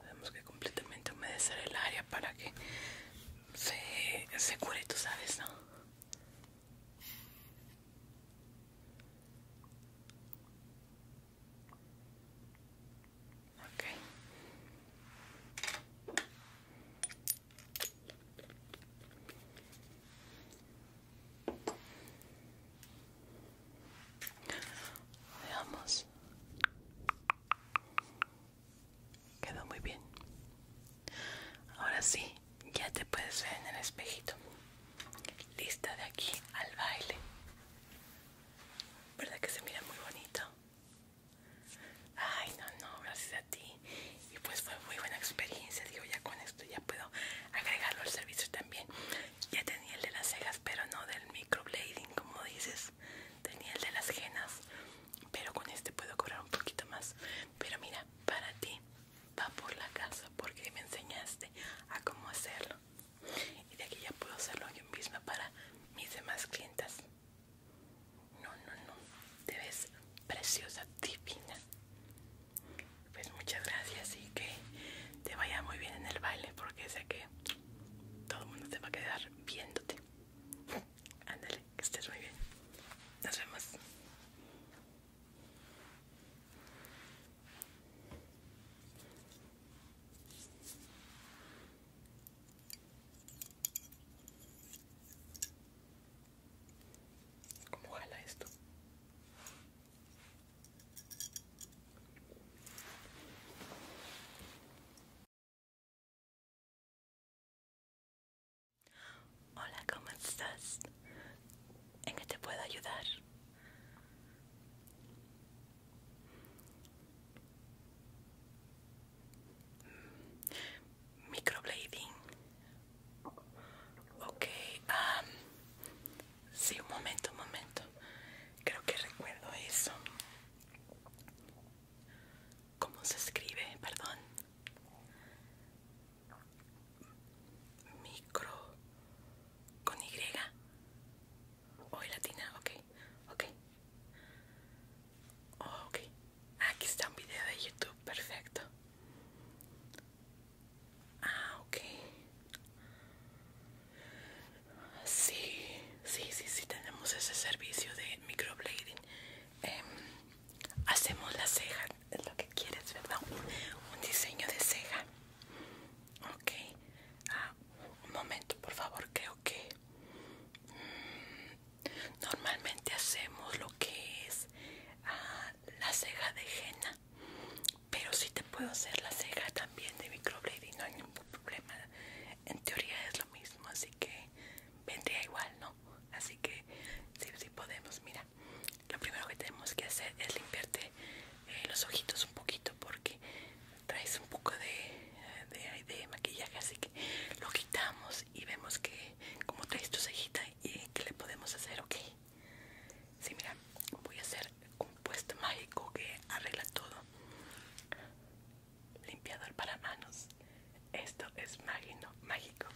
Tenemos que completamente humedecer el área para que se, cure, tú sabes, ¿no? Okay. Veamos. Quedó muy bien. Ahora sí, ya te puedes ver en el espejito. Lista de aquí al baile. ¿Verdad que se mira muy bonito? Ay, no, no, gracias a ti. Y pues fue muy buena experiencia. Digo, ya con esto ya puedo agregarlo al servicio también. Ya tenía el de las cejas, pero no del microblading, como dices. Tenía el de las genas pero con este puedo cobrar un poquito más pero mira para ti va por la casa porque me enseñaste a cómo hacerlo y de aquí ya puedo hacerlo yo misma para mis demás clientas no no no te ves preciosa divina pues muchas gracias y que te vaya muy bien en el baile porque sé que todo el mundo se va a quedar viéndote Ándale, que estés muy bien. Nos vemos. ¿Cómo jala esto? Hola, ¿cómo estás? ¿En qué te puedo ayudar? Mm, microblading. Ok, um, sí, un momento, un momento. Creo que recuerdo eso. ¿Cómo se escribe? Perdón. Micro con Y. O latina, ok, ok. Aquí está un video de YouTube, perfecto. Ah, ok. Sí, sí, sí, sí tenemos ese servicio de microblading. Eh, hacemos la ceja, es lo que quieres, ¿verdad? Un, diseño de ceja. Ok. Ah, un momento, por favor, creo que... Mm, normalmente hacemos lo que es ah, la ceja de henna. Pero si te puedo hacer la ceja también de microblading, no hay ningún problema. En teoría es lo mismo, así que vendría igual, ¿no? Así que sí, sí podemos, mira, lo primero que tenemos que hacer es limpiarte eh, los ojitos un poquito porque traes un poco de, de, maquillaje, así que lo quitamos y vemos que como traes tu cejita y qué le podemos hacer, ¿ok? Sí, mira, voy a hacer un puesto mágico que arregla todo. Limpiador para manos. Esto es Magno mágico.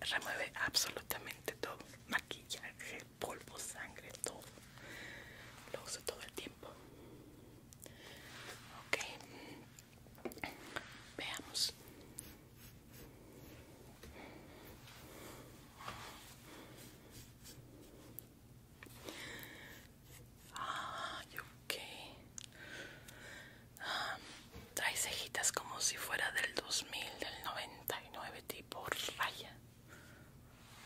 Remueve absolutamente todo. Maquillaje, polvo, sangre, todo. Lo uso todo el tiempo. Ok. Veamos. ok hay cejitas como si fuera del 2000 del 99 tipo raya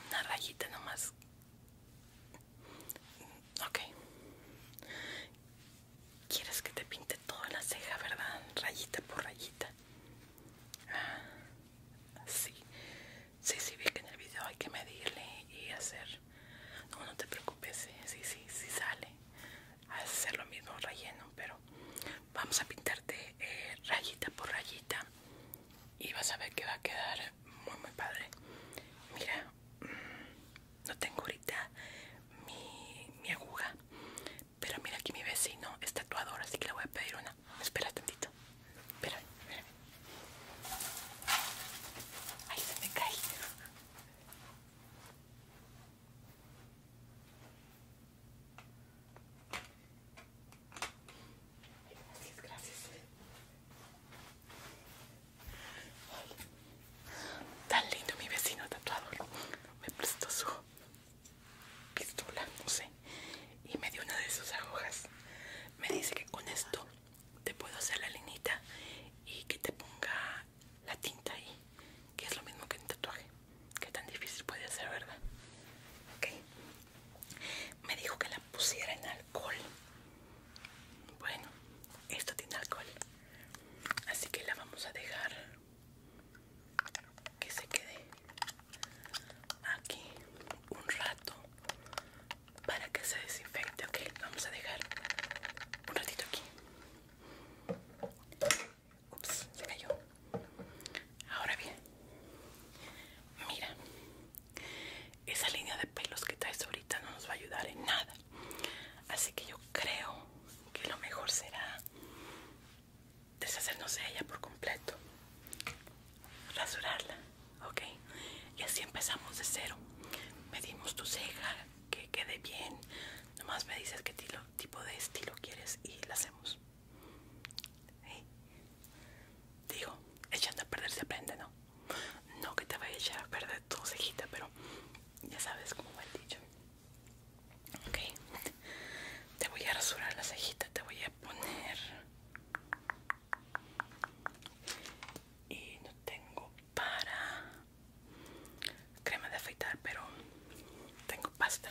una rayita nomás ok quieres que te pinte toda la ceja verdad rayita por rayita ah, sí sí sí vi que en el video hay que medirle y hacer no no te preocupes ¿eh? sí sí sí sale hacer lo mismo relleno pero vamos a pintarte eh, rayita por rayita y vas a ver que va a quedar muy muy padre mira mm, no tengo ahorita mi, mi aguja pero mira aquí mi vecino es tatuador así que le voy a pedir una espera tantito espera ahí se me cae Gracias, gracias. tan lindo mi vecino tatuador. Me prestó su pistola, no sé. Y me dio una de sus agujas. Me dice que con esto te puedo hacer la linita y que te ponga la, tinta ahí, que es lo mismo que en tatuaje. Que tan difícil puede ser, ¿verdad? Okay. Me dijo que la pusiera en alcohol. Bueno, esto tiene alcohol. Así que la vamos a dejar que se quede aquí un rato para que se desinfecte. Ok, vamos a dejar un ratito aquí. Ups, se cayó. Ahora bien, mira, esa línea de pelos que traes ahorita no nos va a ayudar en nada. Así que yo creo que lo mejor será deshacernos de ella por completo. Rasurarla, ok. Y así empezamos de cero. Medimos tu ceja, que quede bien. Nomás me dices qué tipo de estilo quieres y la hacemos. Digo, echando a perder se aprende, ¿no? No que te vaya a echar a perder tu cejita, pero ya sabes como me dicho. Ok, te voy a rasurar la cejita, te voy a poner. Y no tengo para crema de afeitar pero tengo pasta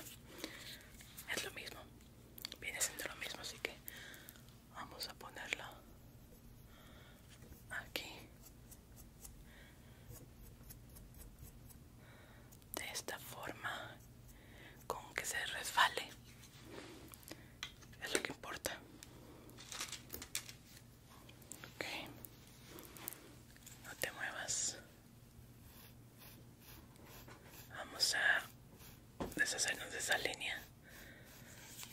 es lo mismo viene siendo lo mismo así que vamos a ponerla aquí de esta forma con que se resfale es lo que importa Ok. No te muevas. Vamos a deshacernos de esa línea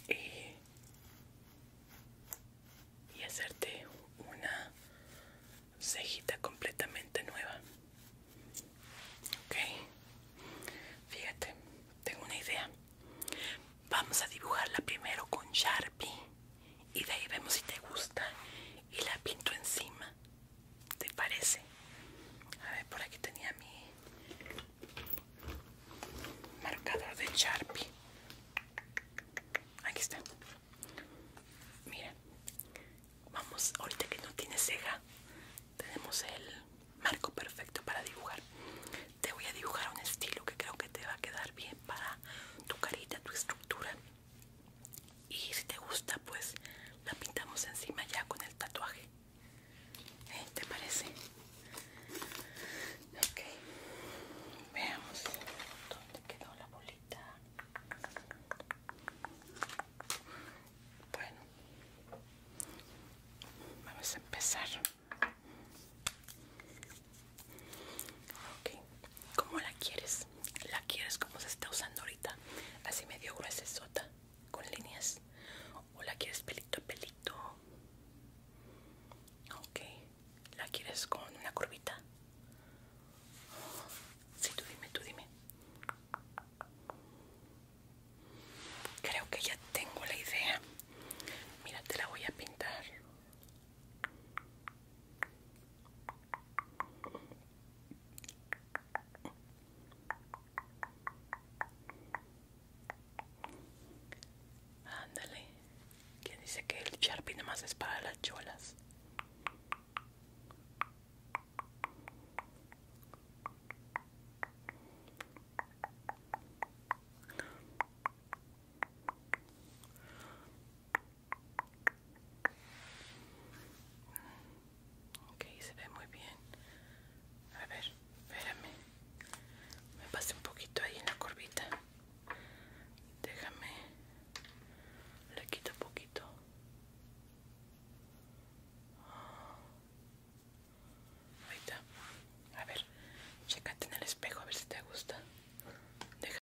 y, y hacerte una cejita completamente nueva. Ok. Fíjate, tengo una idea. Vamos a dibujarla primero con Sharpie y de ahí vemos si te gusta y la pinto encima te parece a ver por aquí tenía mi marcador de Sharpie aquí está mira vamos ahorita que no tiene ceja tenemos el marco perfecto para dibujar te voy a dibujar un estilo que creo que te va a quedar bien para tu carita tu estructura y si te gusta pues la pintamos encima ya con el tatuaje ¿Eh? ¿te parece? ok veamos dónde quedó la bolita bueno vamos a empezar ¿cómo la quieres? ¿La quieres como se está usando ahorita? Así medio gruesa, sota, con líneas. ¿O la quieres pelito a pelito? Ok, ¿la quieres con una curvita? Sí, tú dime, tú dime. Creo que ya tengo la idea. Mira, te la voy a pintar Ándale, ¿quién dice que el Sharpie más es para las cholas? Ok, se ve muy bien. A ver, espérame. Me pasé un poquito ahí en la corbita Déjame. Le quito un poquito. Ahí está. A ver, checate en el espejo a ver si te gusta.